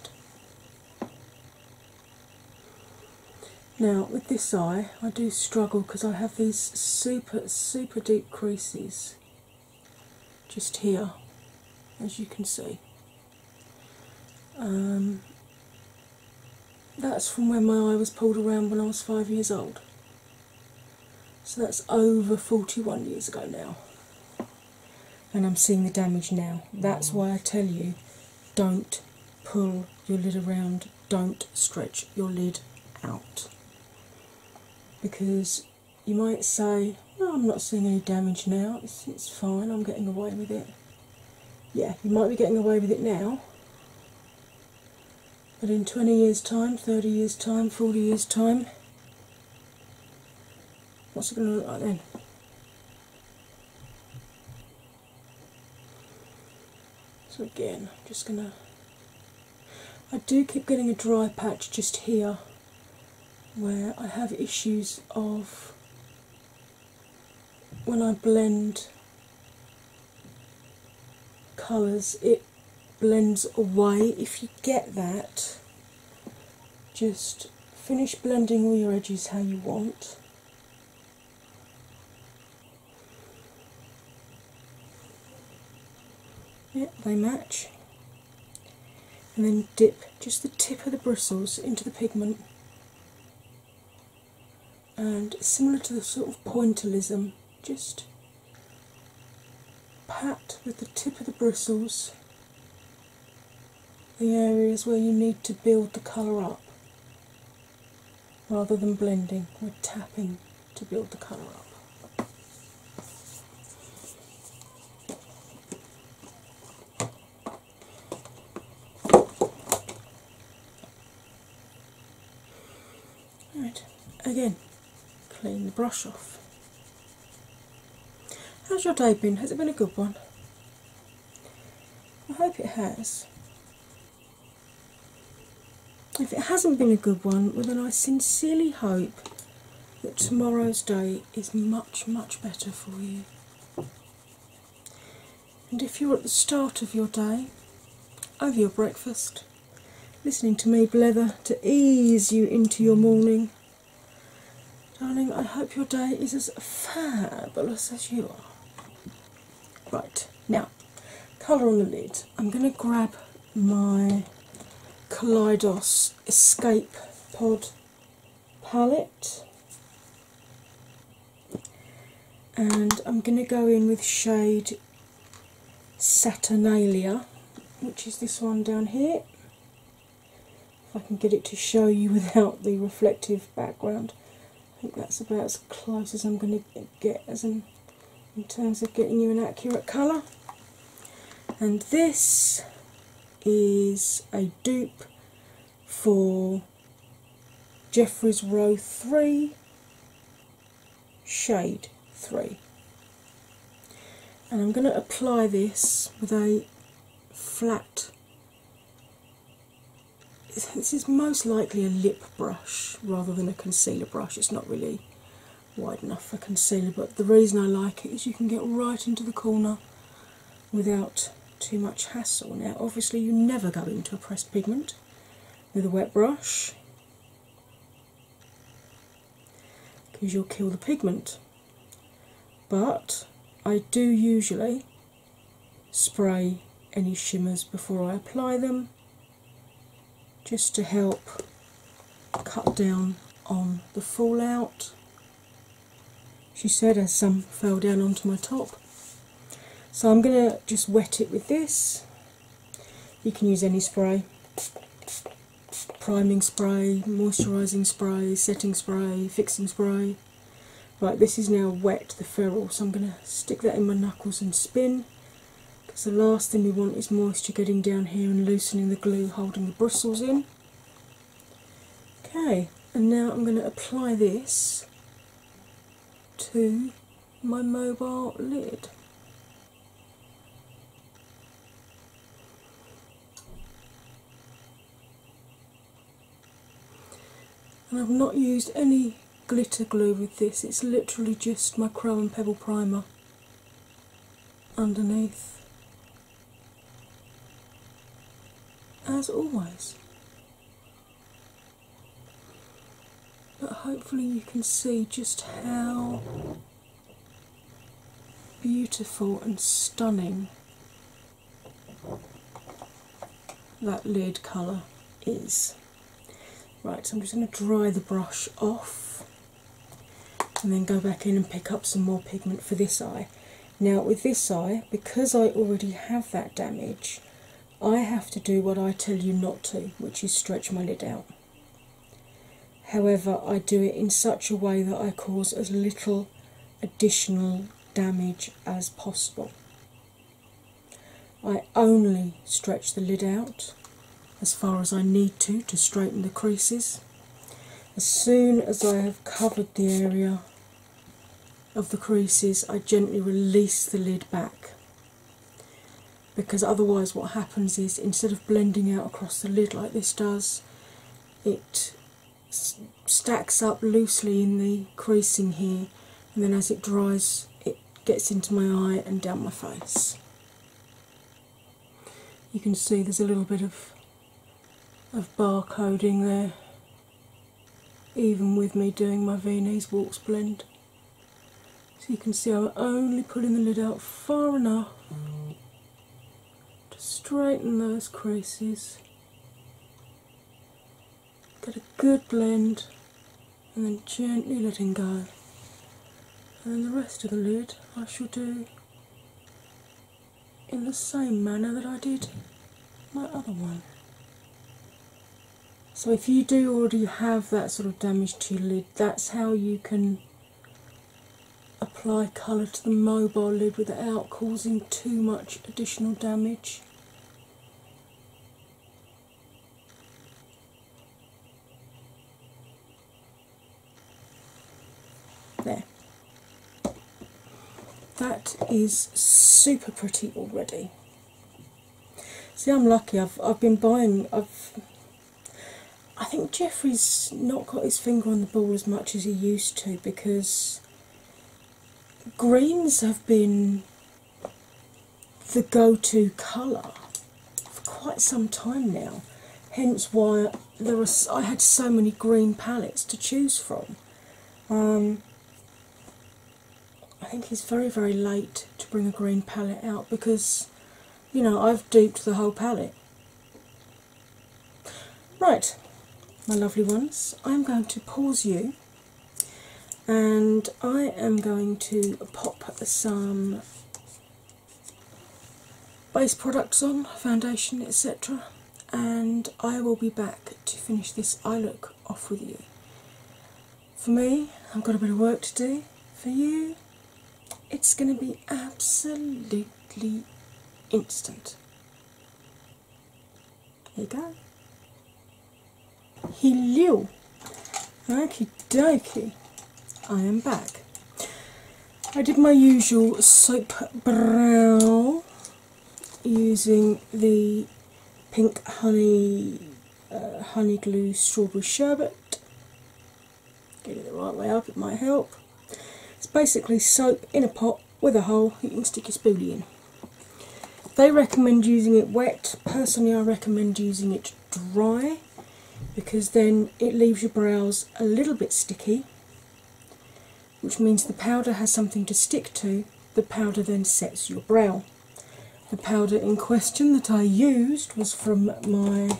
Now with this eye, I do struggle because I have these super super deep creases just here, as you can see. Um, that's from when my eye was pulled around when I was five years old. So that's over 41 years ago now. And I'm seeing the damage now. That's mm. why I tell you don't pull your lid around, don't stretch your lid out. Because you might say, "No, I'm not seeing any damage now. It's, it's fine. I'm getting away with it." Yeah, you might be getting away with it now, but in 20 years' time, 30 years' time, 40 years' time, what's it going to look like then? So again, I'm just going to. I do keep getting a dry patch just here where I have issues of when I blend colours, it blends away. If you get that, just finish blending all your edges how you want. yeah, they match and then dip just the tip of the bristles into the pigment. And similar to the sort of pointillism, just pat with the tip of the bristles the areas where you need to build the colour up rather than blending, we tapping to build the colour up. Right, again, clean the brush off. How's your day been? Has it been a good one? I hope it has. If it hasn't been a good one, well then I sincerely hope that tomorrow's day is much, much better for you. And if you're at the start of your day, over your breakfast, listening to me blether to ease you into your morning, darling, I hope your day is as fabulous as you are. Right, now, colour on the lid. I'm going to grab my Kaleidos Escape Pod palette. And I'm going to go in with shade Saturnalia, which is this one down here. If I can get it to show you [LAUGHS] without the reflective background, I think that's about as close as I'm going to get as in, in terms of getting you an accurate colour. And this is a dupe for Jeffrey's Row 3 shade 3 and I'm going to apply this with a flat this is most likely a lip brush rather than a concealer brush it's not really wide enough for concealer but the reason I like it is you can get right into the corner without too much hassle. Now, obviously, you never go into a pressed pigment with a wet brush because you'll kill the pigment, but I do usually spray any shimmers before I apply them just to help cut down on the fallout she said as some fell down onto my top. So I'm going to just wet it with this. You can use any spray priming spray, moisturising spray, setting spray, fixing spray. Right, this is now wet, the ferrule, so I'm going to stick that in my knuckles and spin because the last thing we want is moisture getting down here and loosening the glue holding the bristles in. Okay, and now I'm going to apply this to my mobile lid. And I've not used any glitter glue with this, it's literally just my chrome Pebble Primer underneath as always. But hopefully, you can see just how beautiful and stunning that lid colour is. Right, so I'm just going to dry the brush off and then go back in and pick up some more pigment for this eye. Now, with this eye, because I already have that damage, I have to do what I tell you not to, which is stretch my lid out. However, I do it in such a way that I cause as little additional damage as possible. I only stretch the lid out as far as I need to to straighten the creases, as soon as I have covered the area of the creases, I gently release the lid back because otherwise, what happens is instead of blending out across the lid like this does, it stacks up loosely in the creasing here, and then as it dries, it gets into my eye and down my face. You can see there's a little bit of of barcoding there, even with me doing my Viennese Waltz blend. So you can see I'm only pulling the lid out far enough to straighten those creases, get a good blend, and then gently letting go. And the rest of the lid I shall do in the same manner that I did my other one. So, if you do already have that sort of damage to your lid, that's how you can apply colour to the mobile lid without causing too much additional damage. There. That is super pretty already. See, I'm lucky. I've I've been buying. I've. I think Jeffrey's not got his finger on the ball as much as he used to because greens have been the go-to colour for quite some time now. Hence why there was I had so many green palettes to choose from. Um, I think he's very very late to bring a green palette out because you know I've duped the whole palette. Right, my lovely ones, I'm going to pause you and I am going to pop some base products on, foundation, etc and I will be back to finish this eye look off with you. For me, I've got a bit of work to do. For you, it's going to be absolutely instant. There you go. Hello! Okie dokie, I am back. I did my usual soap brow using the pink honey uh, honey glue strawberry sherbet. Get it the right way up, it might help. It's basically soap in a pot with a hole you can stick your spoolie in. They recommend using it wet. Personally, I recommend using it dry because then it leaves your brows a little bit sticky which means the powder has something to stick to. The powder then sets your brow. The powder in question that I used was from my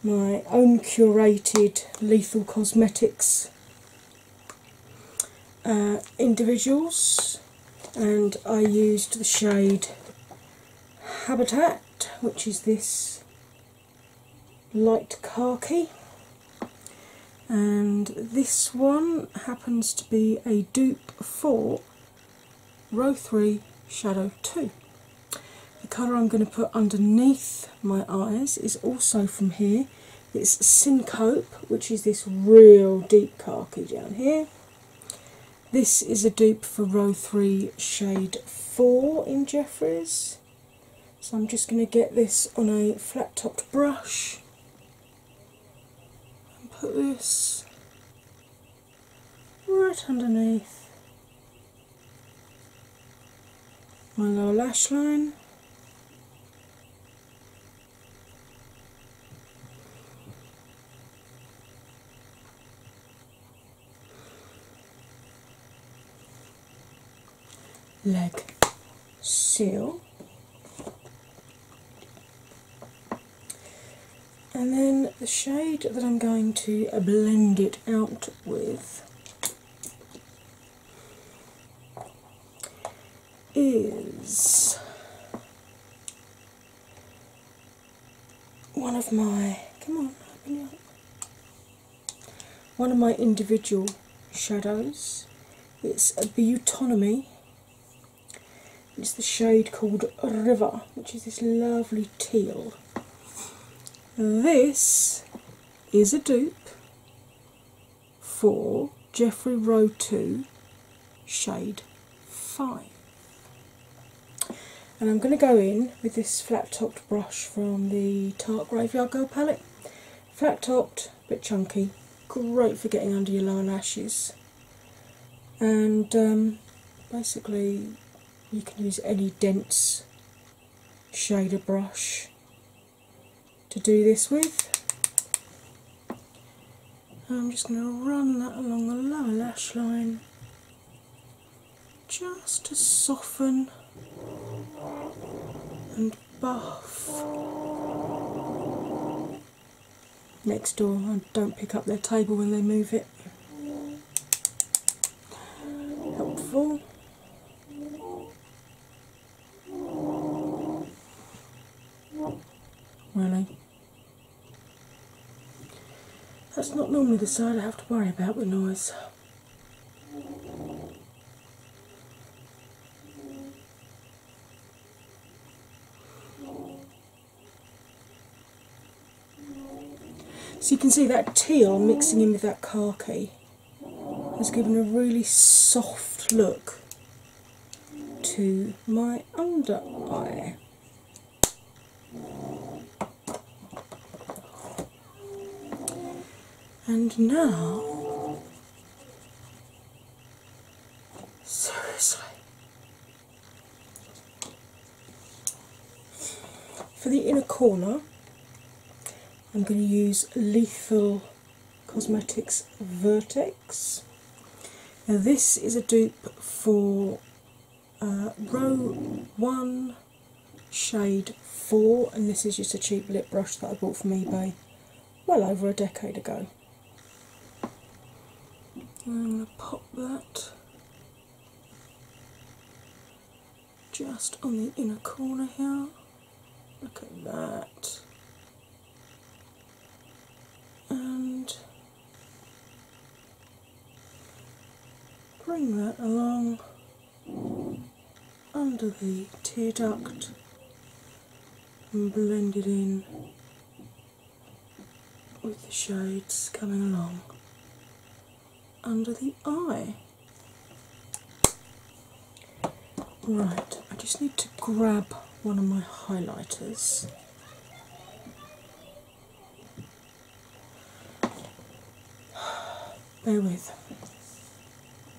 my own curated Lethal Cosmetics uh, individuals, and I used the shade Habitat, which is this light khaki, and this one happens to be a dupe for row 3 shadow 2. The colour I'm going to put underneath my eyes is also from here. It's Syncope, which is this real deep khaki down here. This is a dupe for row 3, shade 4 in Jeffries. So I'm just going to get this on a flat topped brush and put this right underneath my lower lash line like seal, And then the shade that I'm going to blend it out with is one of my. Come on, one of my individual shadows. It's a Butonomy. It's the shade called River, which is this lovely teal. This is a dupe for Jeffrey Row 2 shade 5. And I'm going to go in with this flat topped brush from the Tart Graveyard gold palette Flat topped, bit chunky, great for getting under your lower lashes. And um, basically, you can use any dense shader brush to do this with. I'm just going to run that along the lower lash line just to soften and buff. Next door, don't pick up their table when they move it. Helpful. Really. That's not normally the side I have to worry about with noise. So you can see that teal mixing in with that khaki has given a really soft look to my under eye. And now, seriously, for the inner corner, I'm going to use Lethal Cosmetics Vertex. Now, this is a dupe for uh, row one shade 4, and this is just a cheap lip brush that I bought from eBay well over a decade ago. I'm going to pop that just on the inner corner here. Look at that. And bring that along under the tear duct and blend in with the shades coming along under the eye. Right, I just need to grab one of my highlighters. Bear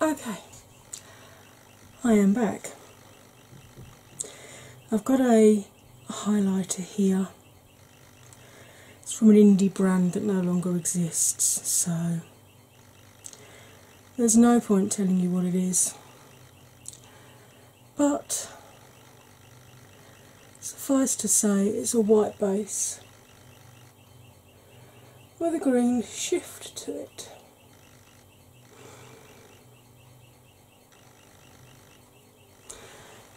Okay, I am back. I've got a highlighter here. It's from an indie brand that no longer exists, so there's no point telling you what it is. But suffice to say, it's a white base with a green shift to it.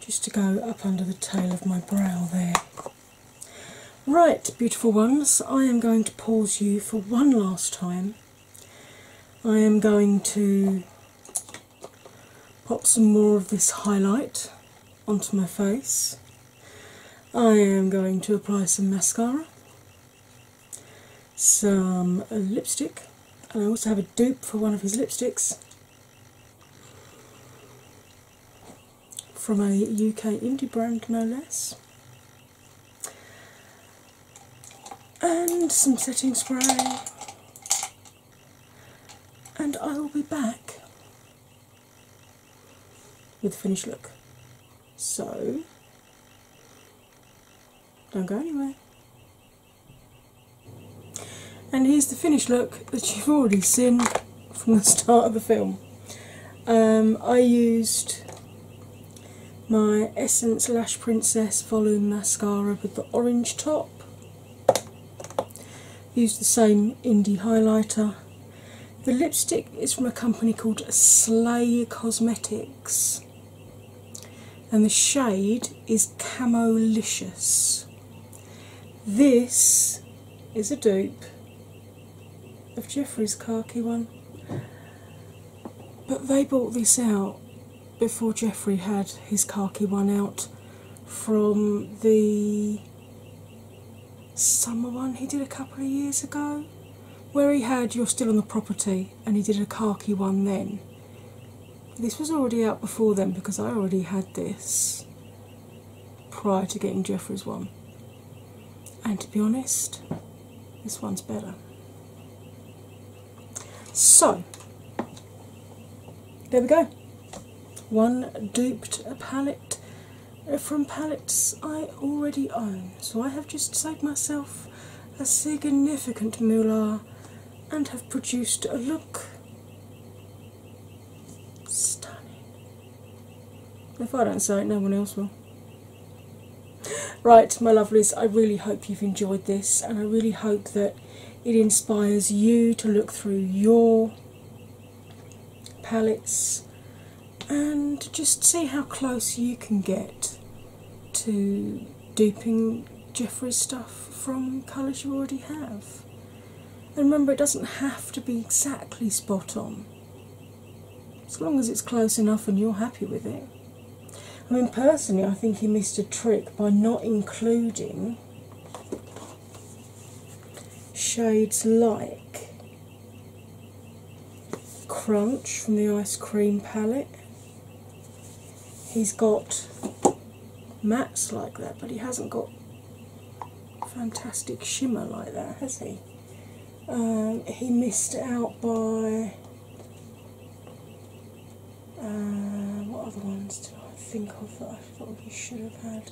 Just to go up under the tail of my brow there. Right, beautiful ones, I am going to pause you for one last time I am going to pop some more of this highlight onto my face. I am going to apply some mascara, some lipstick, I also have a dupe for one of his lipsticks from a UK indie brand, no less and some setting spray, and I will be back with the finished look. So, don't go anywhere. And here's the finished look that you've already seen from the [LAUGHS] start of the film. Um, I used my Essence Lash Princess Volume Mascara with the orange top. Use the same indie highlighter. The lipstick is from a company called Slay Cosmetics, and the shade is Camolicious. This is a dupe of Jeffrey's khaki one, but they bought this out before Jeffrey had his khaki one out from the summer one he did a couple of years ago, where he had You're Still on the Property and he did a khaki one then. This was already out before then because I already had this prior to getting Jeffrey's one. And to be honest, this one's better. So there we go. One duped palette uh, from palettes I already own. So I have just saved myself a significant moolah and have produced a look stunning. If I don't say it, no one else will. Right, my lovelies, I really hope you've enjoyed this and I really hope that it inspires you to look through your palettes and just see how close you can get to duping Jeffrey's stuff from colours you already have. And remember, it doesn't have to be exactly spot on. As long as it's close enough and you're happy with it, I mean, personally, I think he missed a trick by not including shades like Crunch from the Ice Cream palette. He's got mattes like that, but he hasn't got fantastic shimmer like that, has he? Um, he missed out by uh, what other ones do I think of that I probably should have had?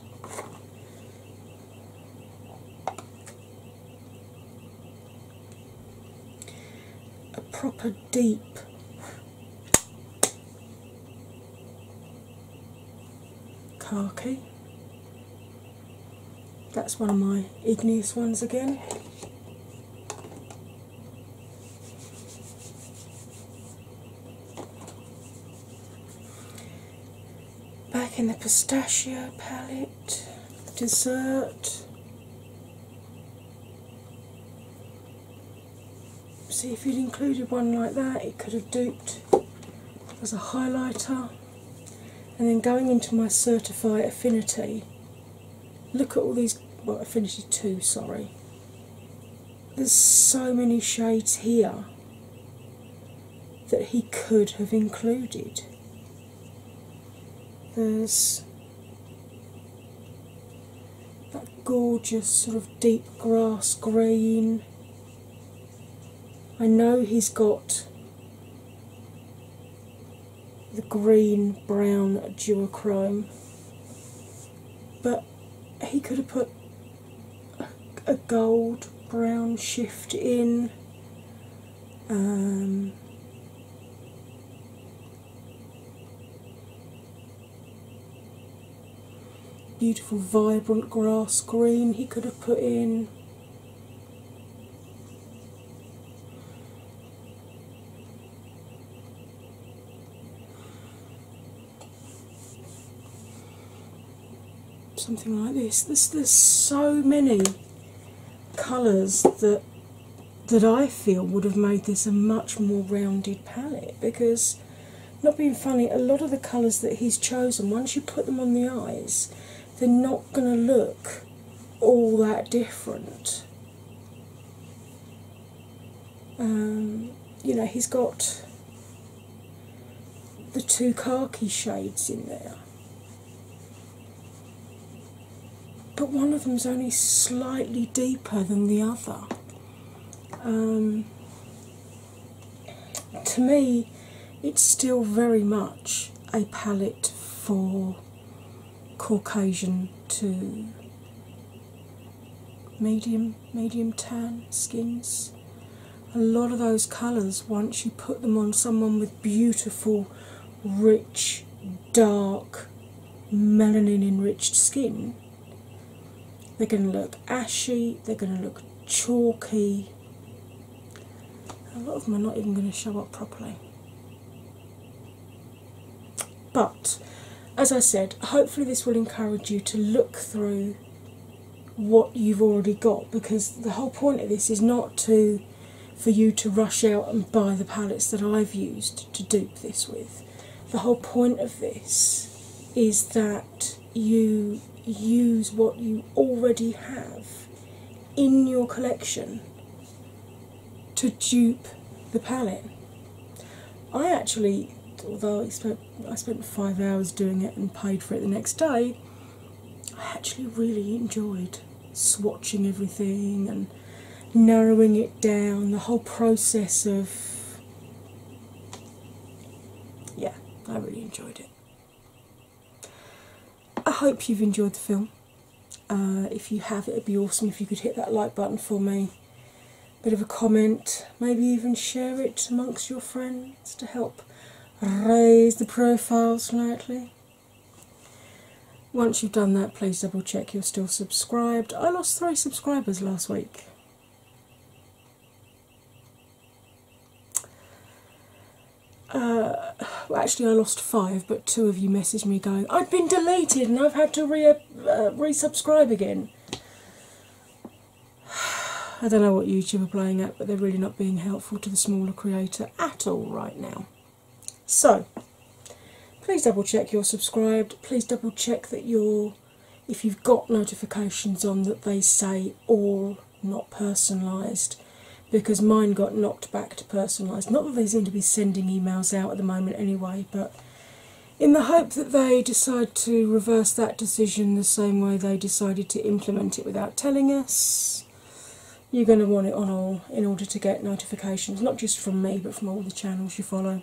A proper deep khaki. That's one of my igneous ones again. Back in the pistachio palette, dessert. See if you'd included one like that, it could have duped as a highlighter. And then going into my Certify Affinity, Look at all these. Well, Affinity 2, sorry. There's so many shades here that he could have included. There's that gorgeous sort of deep grass green. I know he's got the green brown duochrome. But he could have put a, gold brown shift in. Um, beautiful vibrant grass green he could have put in something like this. there's so many colours that that I feel would have made this a much more rounded palette because not being funny, a lot of the colours that he's chosen, once you put them on the eyes, they're not gonna look all that different. Um, you know, he's got the two khaki shades in there. But one of them's only slightly deeper than the other. Um, to me, it's still very much a palette for Caucasian to medium medium tan skins. A lot of those colours, once you put them on someone with beautiful, rich, dark, melanin enriched skin, they're going to look ashy, they're going to look chalky. A lot of them are not even going to show up properly. But as I said, hopefully, this will encourage you to look through what you've already got because the whole point of this is not to for you to rush out and buy the palettes that I've used to dupe this with. The whole point of this is that you use what you already have in your collection to dupe the palette. I actually, although I spent, I spent five hours doing it and paid for it the next day, I actually really enjoyed swatching everything and narrowing it down, the whole process of. Yeah, I really enjoyed it. I hope you've enjoyed the film. Uh, if you have, it'd be awesome if you could hit that like button for me. Bit of a comment, maybe even share it amongst your friends to help raise the profile slightly. Once you've done that, please double check you're still subscribed. I lost three subscribers last week. Uh, well, actually, I lost five, but two of you messaged me going, I've been deleted and I've had to re uh, resubscribe again. [SIGHS] I don't know what YouTube are playing at, but they're really not being helpful to the smaller creator at all right now. So, please double check you're subscribed. Please double check that you're, if you've got notifications on, that they say all not personalised because mine got knocked back to personalised. Not that they seem to be sending emails out at the moment anyway, but in the hope that they decide to reverse that decision the same way they decided to implement it without telling us. You're going to want it on all in order to get notifications, not just from me but from all the channels you follow.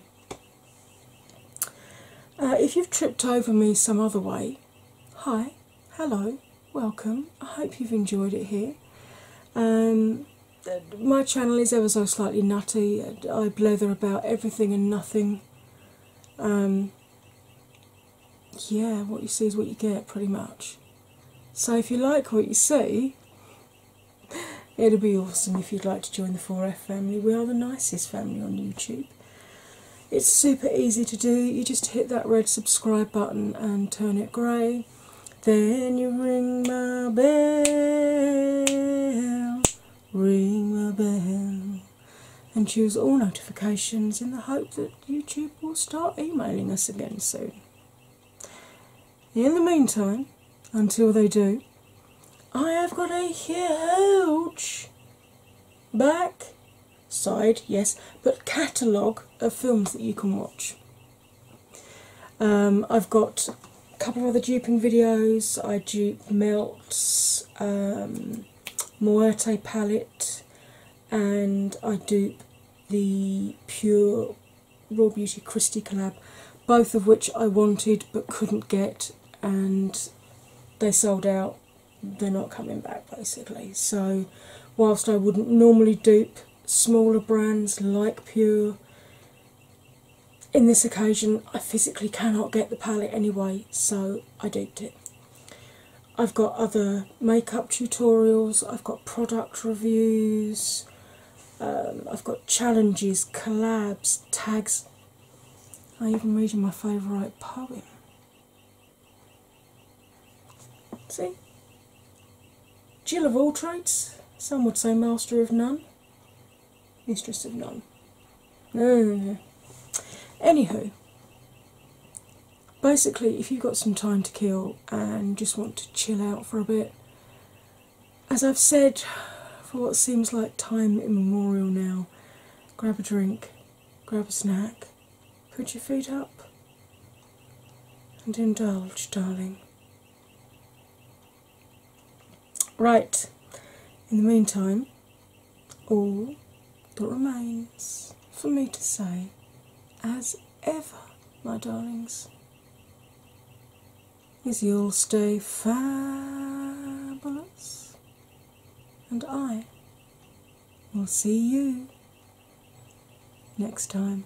Uh, if you've tripped over me some other way, hi, hello, welcome. I hope you've enjoyed it here. Um, my channel is ever so slightly nutty. I blather about everything and nothing. Um, yeah, what you see is what you get, pretty much. So if you like what you see, it'd be awesome if you'd like to join the 4F family. We are the nicest family on YouTube. It's super easy to do. You just hit that red subscribe button and turn it grey. Then you ring my my bell, ring my bell, and choose all notifications in the hope that YouTube will start emailing us again soon. In the meantime, until they do, I have got a huge back side, yes, but catalogue of films that you can watch. Um, I've got a couple of other duping videos. I dupe Melts, um, palette, and I dupe the Pure Raw Beauty Christie collab, both of which I wanted but couldn't get, and they sold out. They're not coming back basically. So, whilst I wouldn't normally dupe smaller brands like Pure, in this occasion, I physically cannot get the palette anyway, so I duped it. I've got other makeup tutorials, I've got product reviews, um, I've got challenges, collabs, tags. I'm even reading my favourite poem. See? Jill of all trades, some would say master of none. Mistress of none. No, mm. Anywho, basically, if you've got some time to kill and just want to chill out for a bit, as I've said for what seems like time immemorial now, grab a drink, grab a snack, put your feet up, and indulge, darling. Right, in the meantime, all that remains for me to say, as ever, my darlings, is you'll stay fabulous, and I will see you next time.